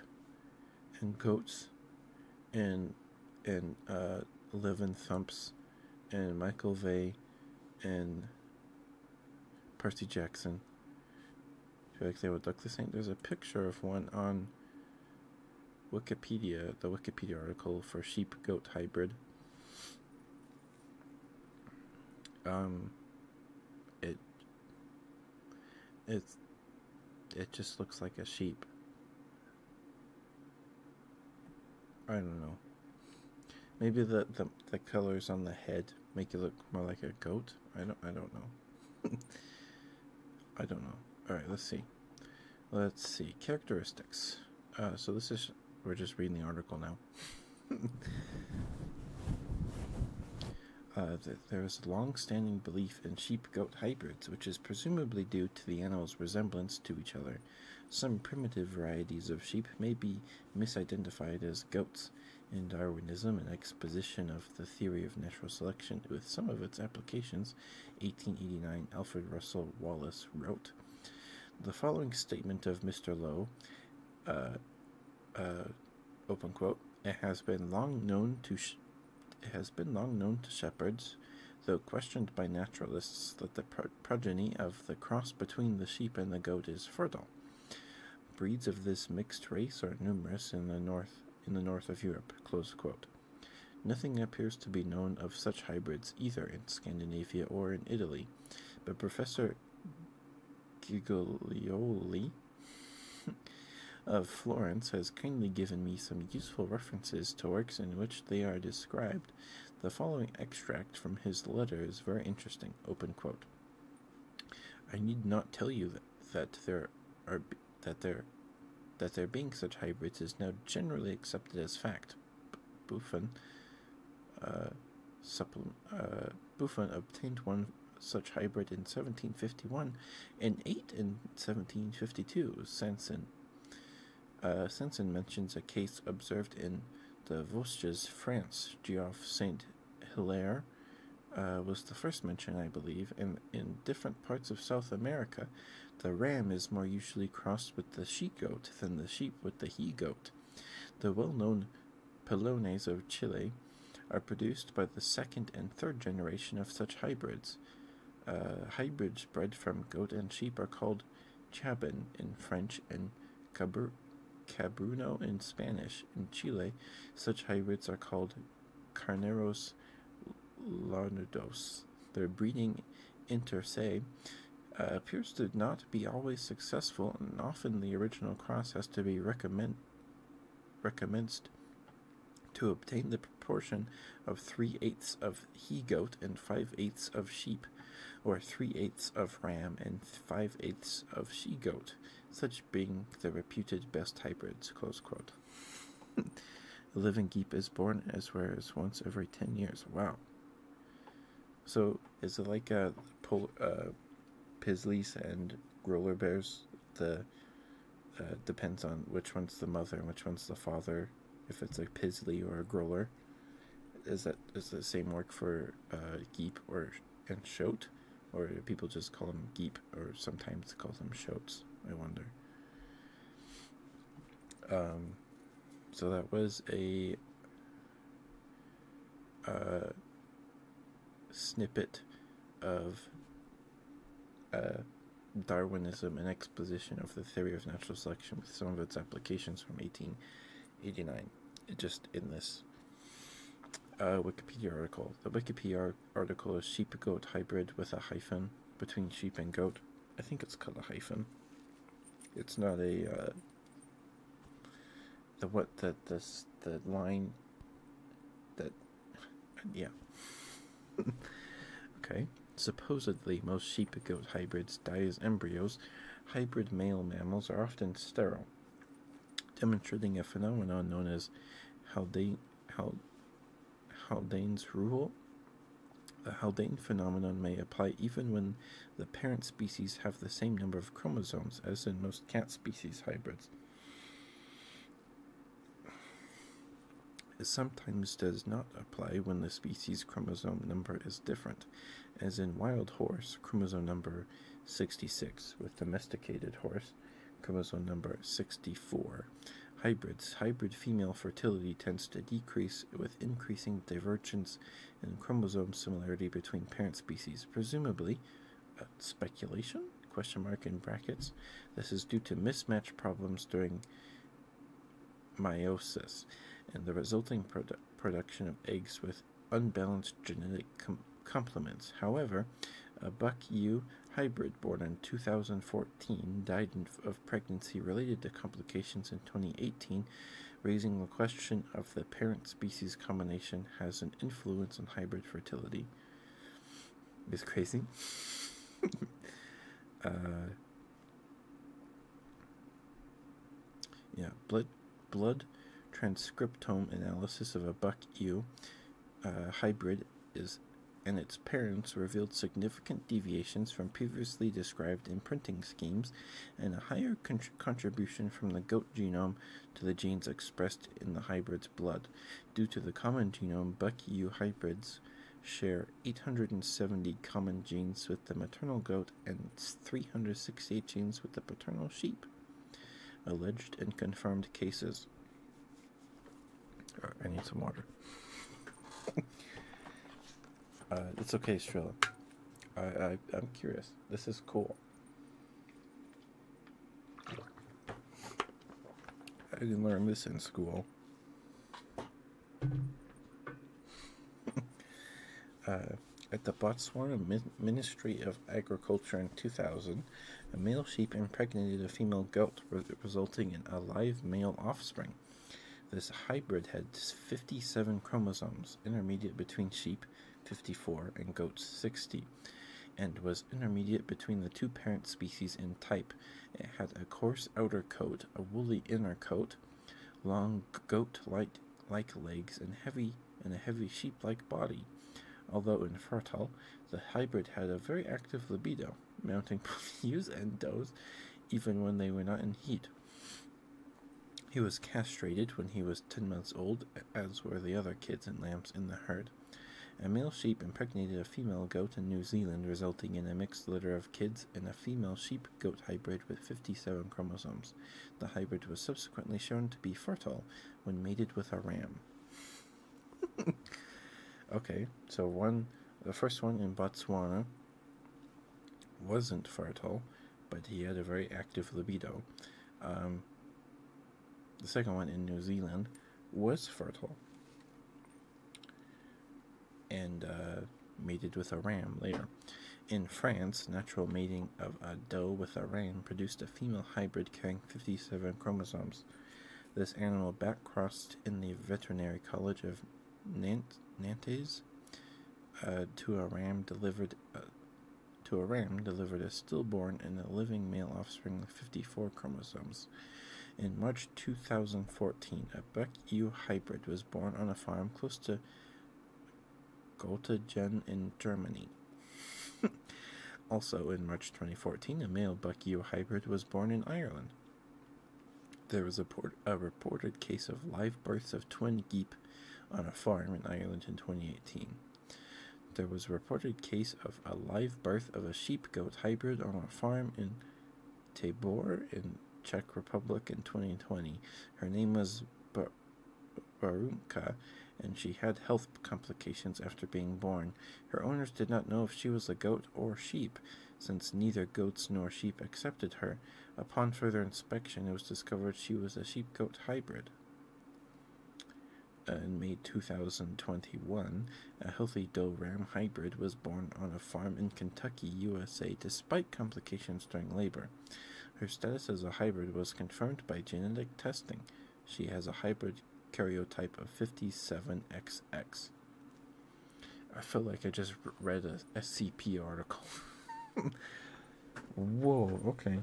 S2: and goats and and uh, living thumps and Michael Vay and Percy Jackson. If you like they would look the same, there's a picture of one on Wikipedia, the Wikipedia article for sheep goat hybrid. Um, it it's it just looks like a sheep. I don't know. Maybe the, the, the colors on the head make you look more like a goat. I don't I don't know. (laughs) I don't know. All right, let's see. Let's see characteristics. Uh, so this is we're just reading the article now. (laughs) Uh, there is a long-standing belief in sheep-goat hybrids, which is presumably due to the animals' resemblance to each other. Some primitive varieties of sheep may be misidentified as goats. In Darwinism, an exposition of the theory of natural selection with some of its applications, 1889, Alfred Russel Wallace wrote The following statement of Mr. Low. Uh, uh, open quote, it has been long known to. has been long known to shepherds, though questioned by naturalists that the progeny of the cross between the sheep and the goat is fertile. Breeds of this mixed race are numerous in the north in the north of Europe. Nothing appears to be known of such hybrids either in Scandinavia or in Italy, but Professor Giglioli (laughs) of Florence has kindly given me some useful references to works in which they are described the following extract from his letter is very interesting. I need not tell you that, there are that there that there being such hybrids is now generally accepted as fact. Uh, uh, Buffon, obtained one such hybrid in 1751 and eight in 1752. Sanson uh, Sanson mentions a case observed in the Vosges, France. Geoff St. Hilaire uh, was the first mention, I believe, and in different parts of South America, the ram is more usually crossed with the she goat than the sheep with the he goat. The well known Pelones of Chile are produced by the second and third generation of such hybrids. Uh, hybrids bred from goat and sheep are called Chabon in French and Cabr Cabruno in Spanish. In Chile, such hybrids are called Carneros larnudos. Their breeding inter se uh, appears to not be always successful, and often the original cross has to be recommenced to obtain the proportion of three eighths of he goat and five eighths of sheep, or three eighths of ram and five eighths of she goat, such being the reputed best hybrids. Close quote. (laughs) A living geep is born as rare as once every ten years. Wow. So is it like a uh, pol- uh, Pizzlies and Roller Bears? The uh, depends on which one's the mother and which one's the father if it's a Pizzly or a Growler. Is that is the same work for a uh, Geep or and Shote, or people just call them Geep or sometimes call them Shotes? I wonder. Um, so that was a uh, snippet of uh, Darwinism and Position of the theory of natural selection with some of its applications from 1889. Just in this uh, Wikipedia article. The Wikipedia article is sheep goat hybrid with a hyphen between sheep and goat. I think it's called a hyphen. It's not a. Uh, the what that this the line that yeah (laughs) okay Supposedly, most sheep goat hybrids die as embryos. Hybrid male mammals are often sterile, demonstrating a phenomenon known as Haldane's rule. The Haldane phenomenon may apply even when the parent species have the same number of chromosomes as in most cat species hybrids. It sometimes does not apply when the species chromosome number is different as in wild horse, chromosome number 66, with domesticated horse, chromosome number 64. Hybrids. Hybrid female fertility tends to decrease with increasing divergence in chromosome similarity between parent species, presumably uh, speculation question mark in brackets. This is due to mismatch problems during meiosis and the resulting production of eggs with unbalanced genetic complements. However, a buck ewe hybrid born in 2014 died of pregnancy related to complications in 2018, raising the question of the parent species combination has an influence on hybrid fertility. It's crazy. (laughs) Uh, yeah, blood transcriptome analysis of a buck ewe uh, hybrid is and its parents revealed significant deviations from previously described imprinting schemes and a higher contribution from the goat genome to the genes expressed in the hybrid's blood. Due to the common genome, buck ewe hybrids share 870 common genes with the maternal goat and 368 genes with the paternal sheep. Alleged and confirmed cases. I need some water. (laughs) Uh, it's okay, Strilla. I, I'm curious. This is cool. I didn't learn this in school. Uh, at the Botswana Ministry of Agriculture in 2000, a male sheep impregnated a female goat, resulting in a live male offspring. This hybrid had 57 chromosomes, intermediate between sheep, 54, and goats, 60, and was intermediate between the two parent species in type. It had a coarse outer coat, a woolly inner coat, long goat-like like legs and heavy and a heavy sheep-like body. Although infertile, the hybrid had a very active libido, mounting both (laughs) and does, even when they were not in heat. He was castrated when he was 10 months old, as were the other kids and lambs in the herd. A male sheep impregnated a female goat in New Zealand, resulting in a mixed litter of kids in a female sheep goat hybrid with 57 chromosomes. The hybrid was subsequently shown to be fertile when mated with a ram. (laughs) okay, so one, the first one in Botswana wasn't fertile, but he had a very active libido. Um, the second one in New Zealand was fertile. And uh, mated with a ram later. In France, natural mating of a doe with a ram produced a female hybrid carrying 57 chromosomes. This animal backcrossed in the veterinary college of Nantes uh, to a ram delivered uh, to a ram delivered a stillborn and a living male offspring with 54 chromosomes. In March 2014, a Buck ewe hybrid was born on a farm close to Gottingen in Germany. (laughs) also, in March 2014, a male buck hybrid was born in Ireland. There was a, a reported case of live births of twin geep on a farm in Ireland in 2018. There was a reported case of a live birth of a sheep goat hybrid on a farm in Tabor in Czech Republic in 2020. Her name was Bar- Barunka, and she had health complications after being born. Her owners did not know if she was a goat or sheep, since neither goats nor sheep accepted her. Upon further inspection, it was discovered she was a sheep goat hybrid. in May 2021, a healthy doe ram hybrid was born on a farm in Kentucky, USA, despite complications during labor. Her status as a hybrid was confirmed by genetic testing. She has a hybrid karyotype of 57XX. I feel like I just read a SCP article. (laughs) Whoa, okay.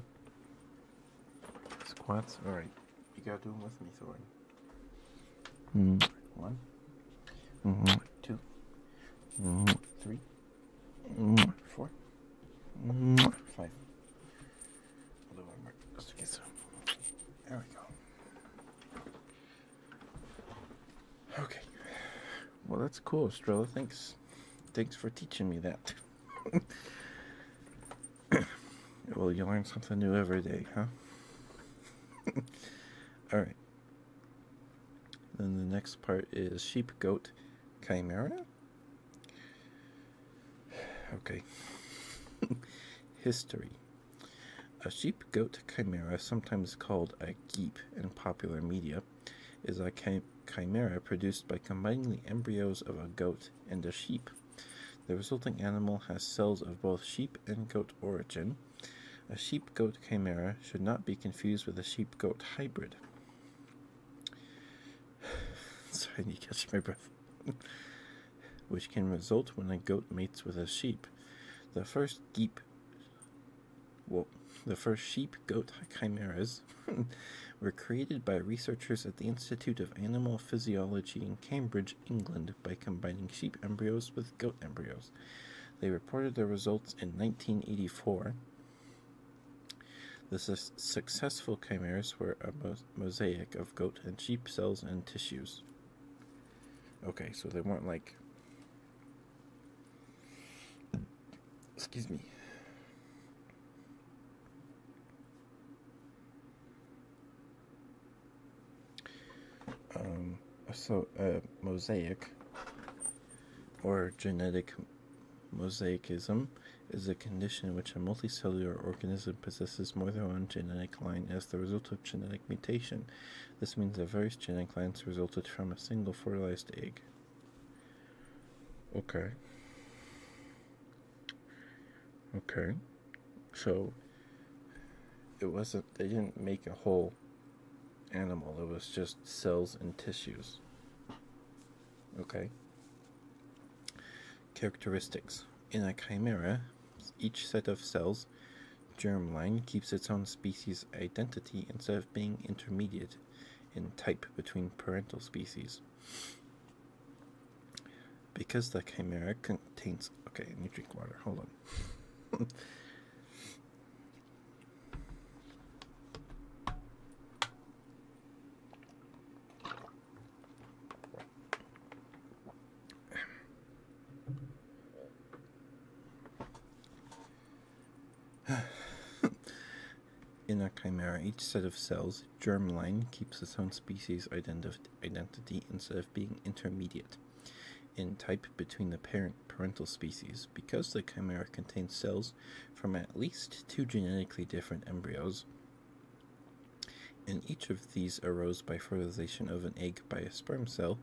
S2: Squats. Alright. You gotta do them with me, Thorin. Mm. One. Mm-hmm. Two.
S3: Mm-hmm. Three. Four.
S2: There we go. Okay. Well, that's cool, Estrella. Thanks. Thanks for teaching me that. (coughs) well, you learn something new every day, huh? (laughs) All right. Then the next part is sheep, goat, chimera. (sighs) Okay. (laughs) History. A sheep goat chimera, sometimes called a geep in popular media, is a chimera produced by combining the embryos of a goat and a sheep. The resulting animal has cells of both sheep and goat origin. A sheep goat chimera should not be confused with a sheep goat hybrid. (sighs) Sorry, I need to catch my breath. (laughs) Which can result when a goat mates with a sheep. The first geep. Well, the first sheep goat chimeras (laughs) were created by researchers at the Institute of Animal Physiology in Cambridge, England, by combining sheep embryos with goat embryos. They reported their results in 1984 the successful chimeras were a mosaic of goat and sheep cells and tissues. Okay, so they weren't like. Excuse me. Um, so a uh, mosaic or genetic mosaicism, is a condition in which a multicellular organism possesses more than one genetic line as the result of genetic mutation. This means that various genetic lines resulted from a single fertilized egg. Okay. Okay. So it wasn't they didn't make a hole animal. It was just cells and tissues. Okay. Characteristics. In a chimera, each set of cells, germline, keeps its own species identity instead of being intermediate in type between parental species. Because the chimera contains. Okay, I need drink water. Hold on. (laughs) (sighs) In a chimera, each set of cells, germline, keeps its own species identity instead of being intermediate in type between the parent parental species. Because the chimera contains cells from at least two genetically different embryos, and each of these arose by fertilization of an egg by a sperm cell,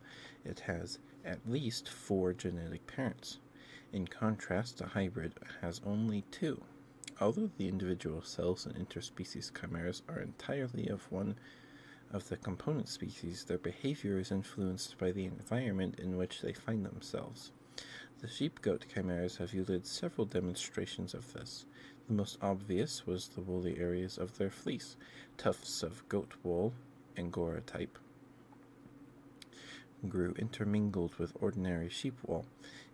S2: it has at least four genetic parents. In contrast, a hybrid has only two. Although the individual cells in interspecies chimeras are entirely of one of the component species, their behavior is influenced by the environment in which they find themselves. The sheep goat chimeras have yielded several demonstrations of this. The most obvious was the woolly areas of their fleece, tufts of goat wool, angora type, grew intermingled with ordinary sheep wool,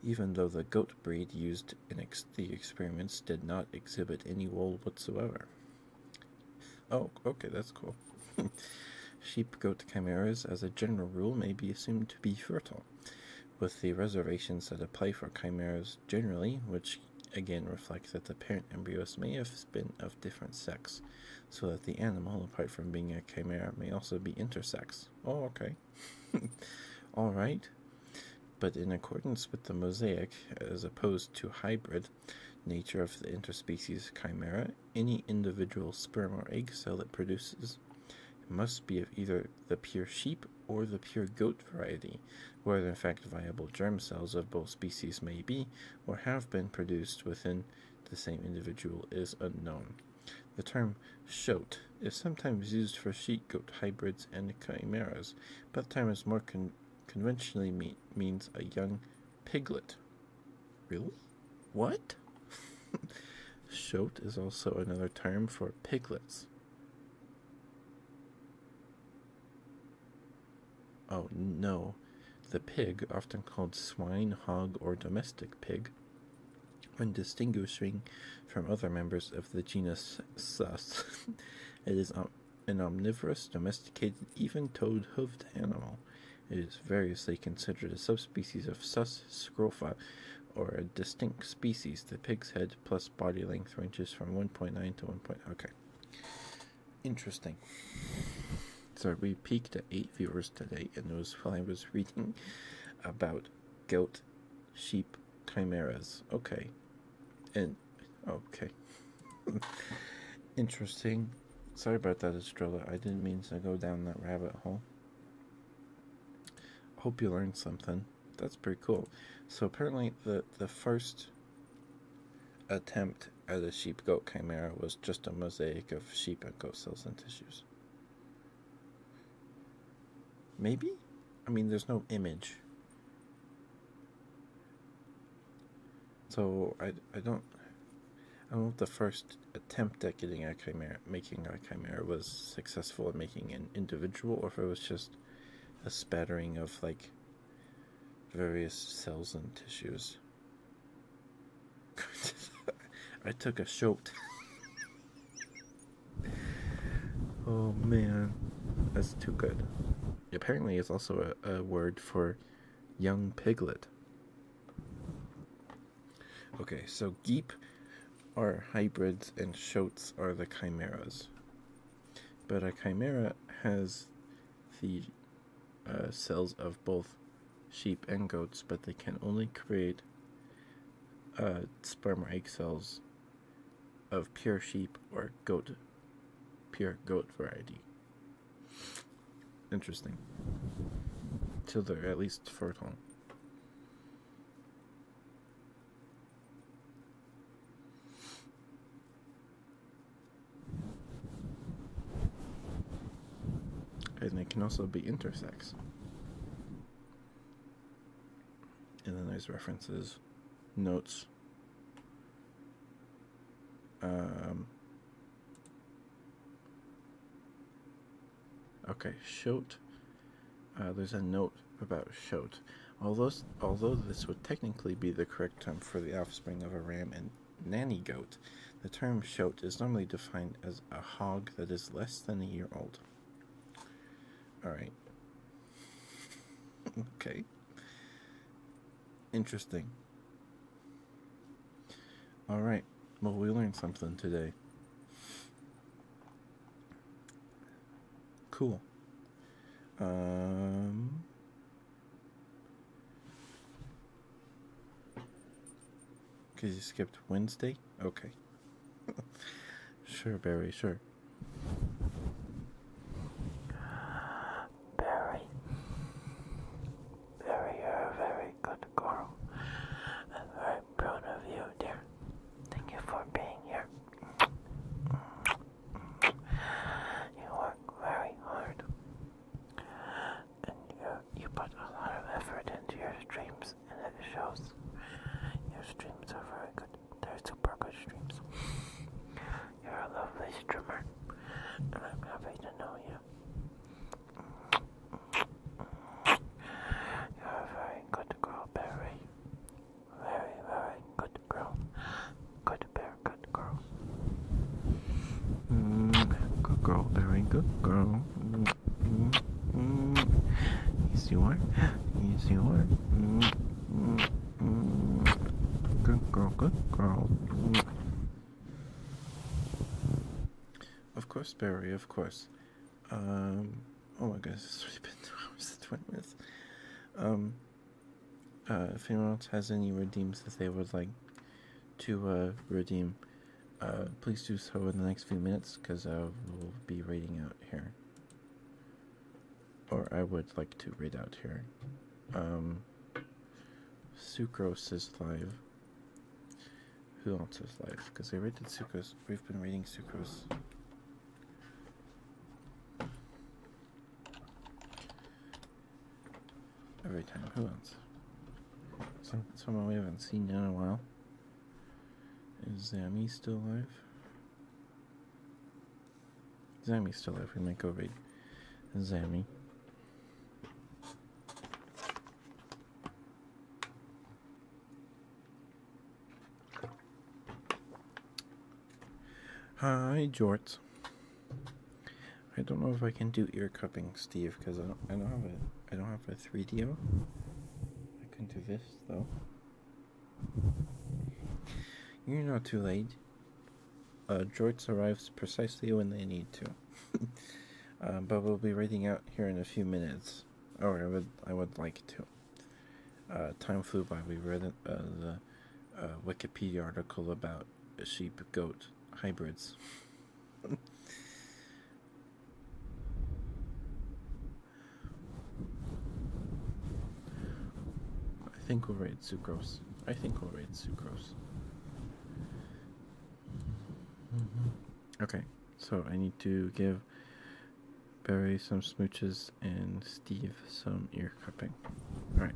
S2: even though the goat breed used in the experiments did not exhibit any wool whatsoever. Oh, okay, that's cool. (laughs) Sheep goat chimeras, as a general rule, may be assumed to be fertile, with the reservations that apply for chimeras generally, which again reflect that the parent embryos may have been of different sex, so that the animal, apart from being a chimera, may also be intersex. Oh, okay. (laughs) Alright. But in accordance with the mosaic, as opposed to hybrid, nature of the interspecies chimera, any individual sperm or egg cell it produces. must be of either the pure sheep or the pure goat variety, whether in fact viable germ cells of both species may be or have been produced within the same individual is unknown. The term shote is sometimes used for sheep goat hybrids and chimeras, but the term is more conventionally means a young piglet. Really? What? (laughs) Shote is also another term for piglets. Oh no, the pig, often called swine, hog, or domestic pig, when distinguishing from other members of the genus Sus, (laughs) it is an omnivorous, domesticated, even toed hoofed animal general. It is variously considered a subspecies of Sus scrofa, or a distinct species. The pig's head plus body length ranges from 1.9 to 1. Point, okay. Interesting. So we peaked at 8 viewers today, and it was while I was reading about goat sheep chimeras. Okay. And. Okay. (laughs) Interesting. Sorry about that, Estrella. I didn't mean to go down that rabbit hole. Hope you learned something. That's pretty cool. So apparently the, the first attempt at a sheep-goat chimera was just a mosaic of sheep and goat cells and tissues. Maybe? I mean, there's no image. So I, I don't I don't know the first attempt at getting a chimera, making a chimera was successful at making an individual, or if it was just a spattering of like various cells and tissues. (laughs) I took a shot. (laughs) oh man, that's too good. Apparently, it's also a word for young piglet. Okay, so Geep are hybrids and Shotes are the chimeras. But a chimera has the uh, cells of both sheep and goats, but they can only create uh, sperm or egg cells of pure sheep or goat, pure goat variety. Interesting. Till they're at least fertile. And they can also be intersects, And then there's references, notes, um, Okay, Schott. Uh, there's a note about Schott. Although, although this would technically be the correct term for the offspring of a ram and nanny goat, the term Schott is normally defined as a hog that is less than a year old. Alright. (laughs) okay. Interesting. Alright. Well, we learned something today. Cool. Um, because you skipped Wednesday? Okay. (laughs) sure, Barry, sure. Barry. Barry, you're a very good girl. And proud of you, dear.
S1: Thank you for being here. You work very hard, and you, you put a lot of effort into your streams, and it shows. Your streams are very good. They're super good streams. You're a lovely streamer, and I'm happy to know you. You're a
S2: very good girl, Barry. Very, very good girl. Good bear, good girl. Mm, good girl, Barry, good girl. Mm, mm, mm. you are. Yes, you are. Mm, mm, mm. Good girl, good girl. Mm. Of course, Barry, of course. Um, oh my goodness, it's already been (laughs) two hours Um, uh, if anyone else has any redeems that they would like to uh, redeem, uh, please do so in the next few minutes because I will be reading out here. Or I would like to read out here. Um, Sucrose is live. Who Answers Life, because I read the Sucrose. We've been reading Sucrose. Every time. Who else? someone we haven't seen in a while. Is Zami still alive? Zami still alive. We might go read Zami. Hi, Jorts. I don't know if I can do ear cupping, Steve, because I don't, I don't have a I don't have a 3DO. I can do this though. You're not too late. Uh, Jorts arrives precisely when they need to. (laughs) Uh, but we'll be writing out here in a few minutes yes. Oh, I would. I would like to. Uh, time flew by. We read uh, the uh, Wikipedia article about sheep-goat hybrids. I think we'll raid Sucrose. I think we'll raid Sucrose. Mm-hmm. Okay, so I need to give Barry some smooches and Steve some ear cupping. Alright.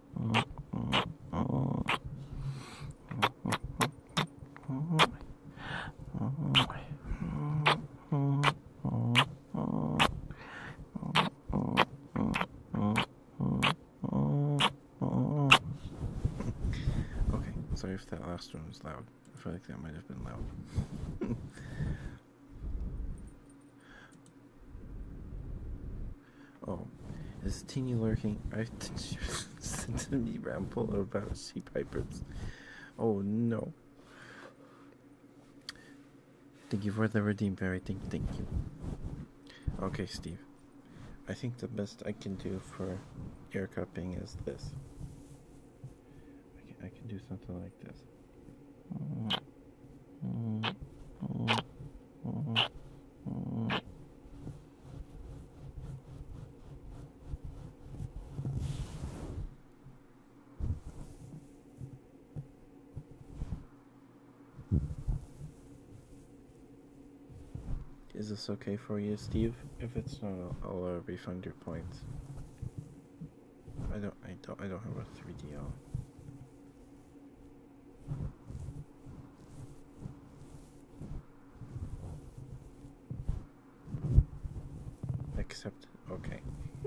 S2: Okay, sorry if that last one was loud. I feel like that might have been loud. (laughs) Oh, is Teeny lurking? I (laughs) sent me ramble about sea pipers. Oh no. Thank you for the redeem fairy. Thank, thank you. Okay, Steve. I think the best I can do for air cupping is this. I can do something like
S3: this.
S2: Is this okay for you, Steve? If it's not, I'll, uh, refund your points. I don't, I don't, I don't have a 3DL. Except, okay. (laughs)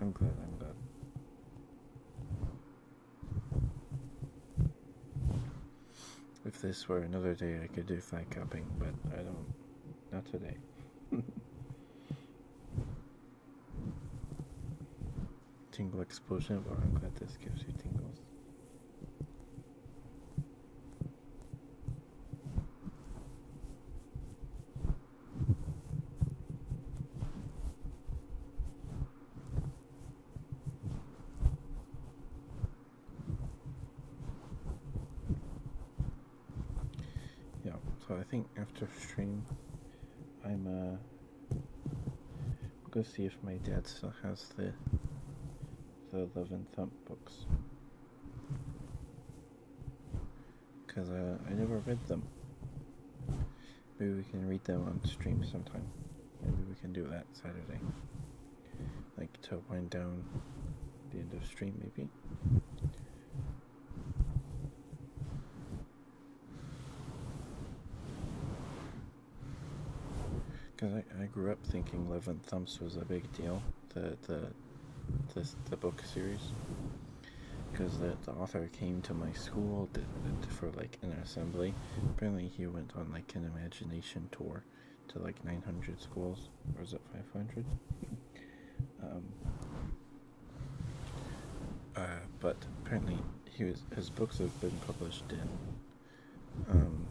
S2: I'm glad, I'm glad. If this were another day, I could do flag cupping, but I don't. Not today. (laughs) tingle explosion, but I'm glad this gives you tingles. Yeah, so I think after stream, I'm uh, Go see if my dad still has the the Love and Thump books. Cause uh, I never read them. Maybe we can read them on stream sometime. Maybe we can do that Saturday. Like to wind down the end of stream, maybe. Because I, I grew up thinking Love and Thumps was a big deal, the, the, the, the book series. Because the, the author came to my school for like an assembly. Apparently, he went on like an imagination tour to like 900 schools, or is it 500? um, uh, but apparently, he was his books have been published in um,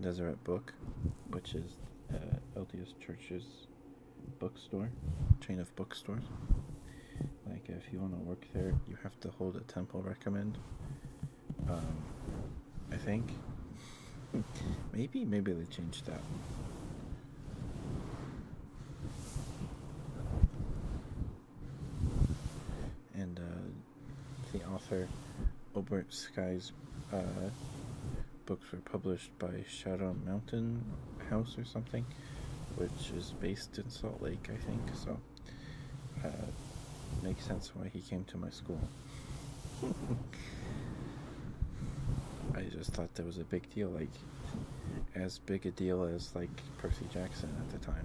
S2: Deseret Book, which is uh, LDS Church's bookstore, chain of bookstores. Like if you want to work there, you have to hold a temple recommend. Um, I think. (laughs) maybe, maybe they changed that and uh, the author Obert Sky's uh, books were published by Shadow Mountain House or something, which is based in Salt Lake, I think. So, uh, makes sense why he came to my school. (laughs) I just thought that was a big deal. Like, as big a deal as like Percy Jackson at the time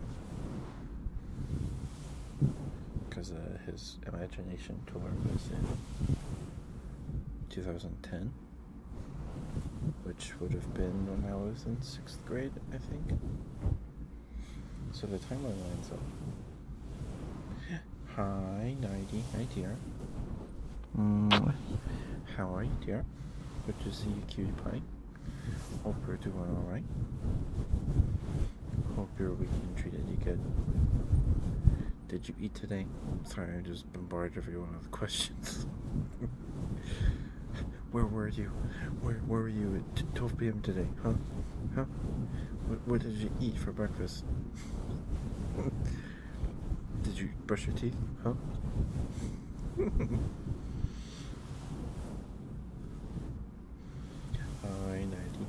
S2: because uh, his imagination tour was in 2010 which would have been when I was in sixth grade I think so the timeline lines up (gasps) hi Nighty hi dear mm. how are you dear good to see you cutie pie Hope you're doing alright. Hope you your weekend treated you good. Did you eat today? I'm sorry, I just bombarded everyone with (laughs) questions. Where were you? Where, where were you at 12 p.m. today? Huh? Huh? What, what did you eat for breakfast? (laughs) did you brush your teeth? Huh? (laughs) Einheiten.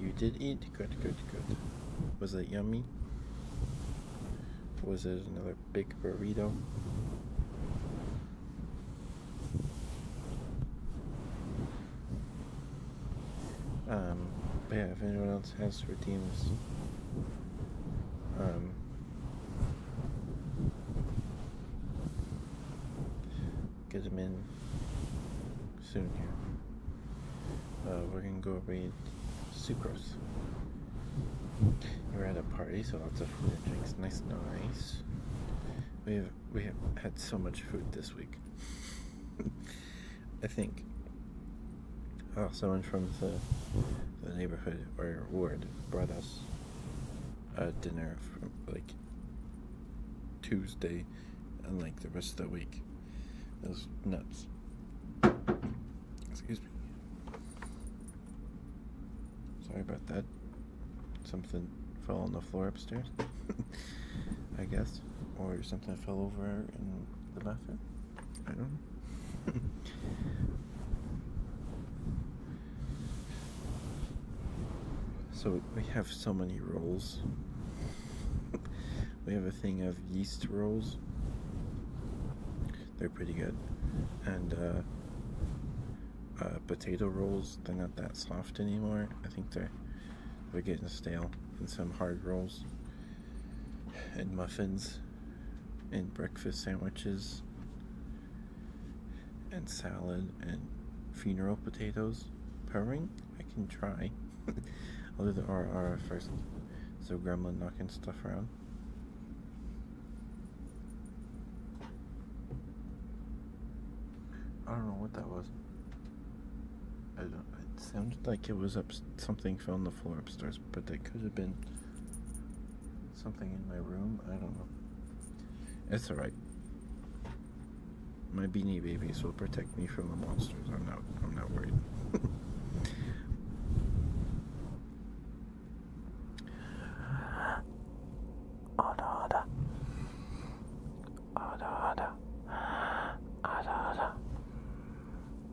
S2: You did eat? Good, good, good. Was that yummy? Was it another big burrito? Um, but yeah, if anyone else God's has redeemed um, get them in soon uh, we're gonna go read Sucrose. We're at a party, so lots of food and drinks. Nice, nice. We have we have had so much food this week. (laughs) I think. Oh, someone from the, the neighborhood or ward brought us a dinner from like Tuesday and like the rest of the week. It was nuts. Excuse me. Sorry about that. Something fell on the floor upstairs, (laughs) I guess, or something fell over in the bathroom. I don't (laughs) so we have so many rolls. (laughs) we have a thing of yeast rolls. They're pretty good. And uh, uh, potato rolls, they're not that soft anymore. I think they're they're getting stale and some hard rolls and muffins and breakfast sandwiches and salad and funeral potatoes purring i can try (laughs) i'll do the rr first so gremlin knocking stuff around i don't know what that was i don't it sounded like it was up something fell on the floor upstairs but they could have been something in my room. I don't know. It's alright. My beanie babies will protect me from the monsters. I'm not I'm not worried. (laughs) Ada ada. Ada ada. Ada ada.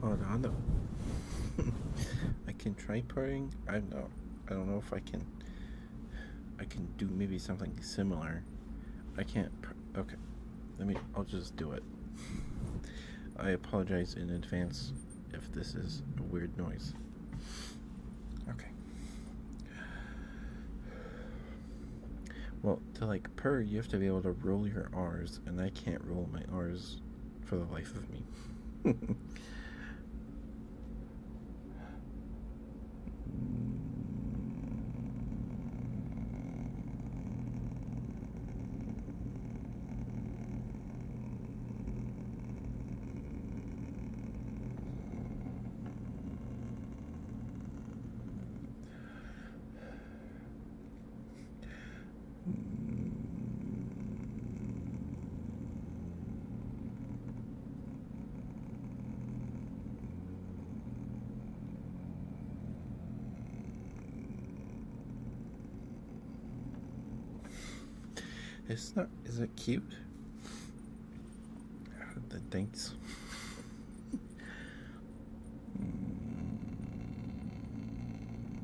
S2: Hold oh, on, no. (laughs) I can try purring. I know. I don't know if I can. I can do maybe something similar. I can't. Okay, let me. I'll just do it. I apologize in advance if this is a weird noise. Okay. Well, to like purr, you have to be able to roll your R's and I can't roll my R's for the life of me. (laughs) It's not. Is it cute? The thanks. (laughs)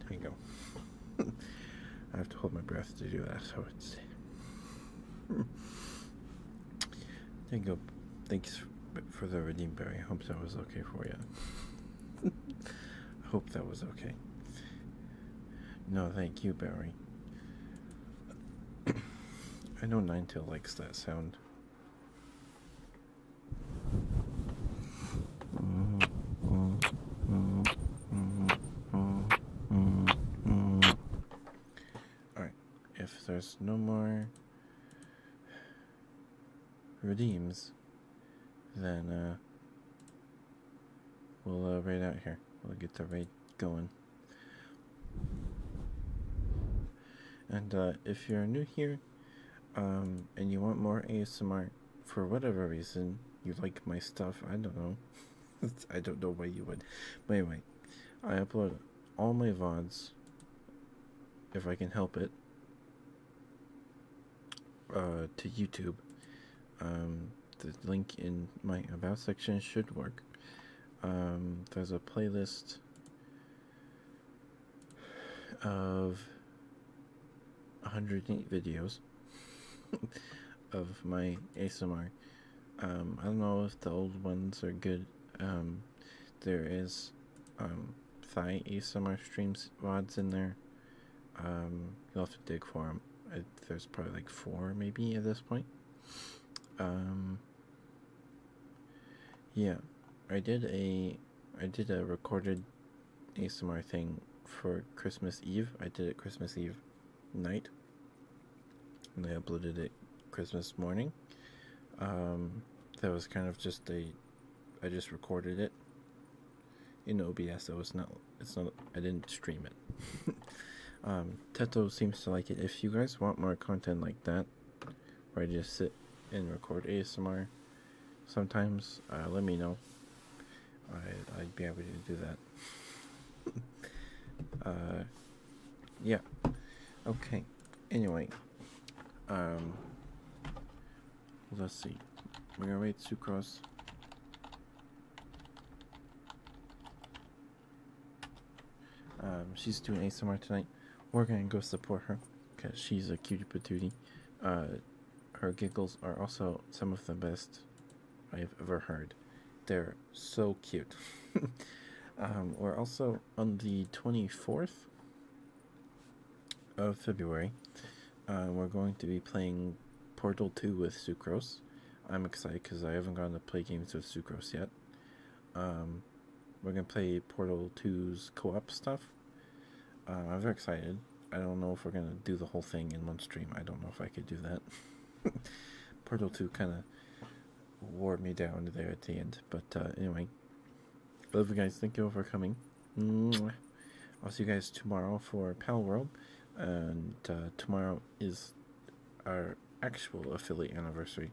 S2: There you go. I have to hold my breath to do that, so it's. there you go. Thanks for the redeem berry. Hope that was okay for you. I (laughs) hope that was okay. No, thank you, Barry. (coughs) I know Ninetale likes that sound. Alright, if there's no more redeems, then uh, we'll uh, raid out here. We'll get the raid going. And uh, if you're new here um, and you want more ASMR for whatever reason, you like my stuff, I don't know. (laughs) I don't know why you would. But anyway, I upload all my VODs if I can help it uh, to YouTube. Um, the link in my about section should work. Um, there's a playlist of 108 videos (laughs) of my ASMR. Um, I don't know if the old ones are good. Um, there is um, thigh ASMR streams rods in there. Um, you'll have to dig for them. there's probably like four, maybe at this point. Um, yeah, I did a I did a recorded ASMR thing for Christmas Eve. I did it Christmas Eve night, and I uploaded it Christmas morning. Um, that was kind of just a I just recorded it in OBS, so it's not it's not I didn't stream it. (laughs) Um, Teto seems to like it. If you guys want more content like that, where I just sit and record ASMR, sometimes uh, let me know. I I'd be able to do that. (laughs) uh, yeah. Okay. Anyway, um, Let's see. We're gonna wait to cross. Um, she's doing ASMR tonight. We're gonna go support her because she's a cutie patootie. Uh, her giggles are also some of the best I've ever heard. They're so cute. (laughs) Um, we're also on the 24th of February. Uh, we're going to be playing Portal 2 with Sucrose. I'm excited because I haven't gotten to play games with Sucrose yet. Um, we're going to play Portal 2's co op stuff. Uh, I'm very excited. I don't know if we're going to do the whole thing in one stream. I don't know if I could do that. (laughs) Portal 2 kind of wore me down there at the end. But uh, anyway, Love you guys. Thank you all for coming. I'll see you guys tomorrow for Pal World. And uh, tomorrow is our actual affiliate anniversary.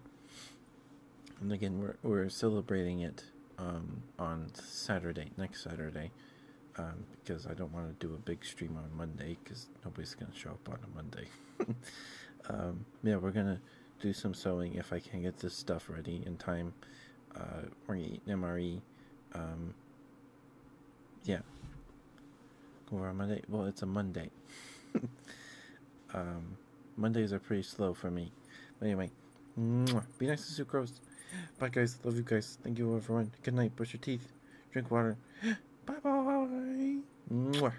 S2: And again, we're, we're celebrating it um, on Saturday, next Saturday. Um, because I don't want to do a big stream on Monday because nobody's going to show up on a Monday. (laughs) Um, yeah, we're going to do some sewing if I can get this stuff ready in time uh, Ori, Nemari, um, yeah. Go over on Monday. Well, it's a Monday. (laughs) um, Mondays are pretty slow for me. But anyway, mwah, be nice to sucrose. Bye, guys. Love you guys. Thank you, everyone. Good night. Brush your teeth. Drink water.
S3: (gasps) bye bye.
S2: Mwah.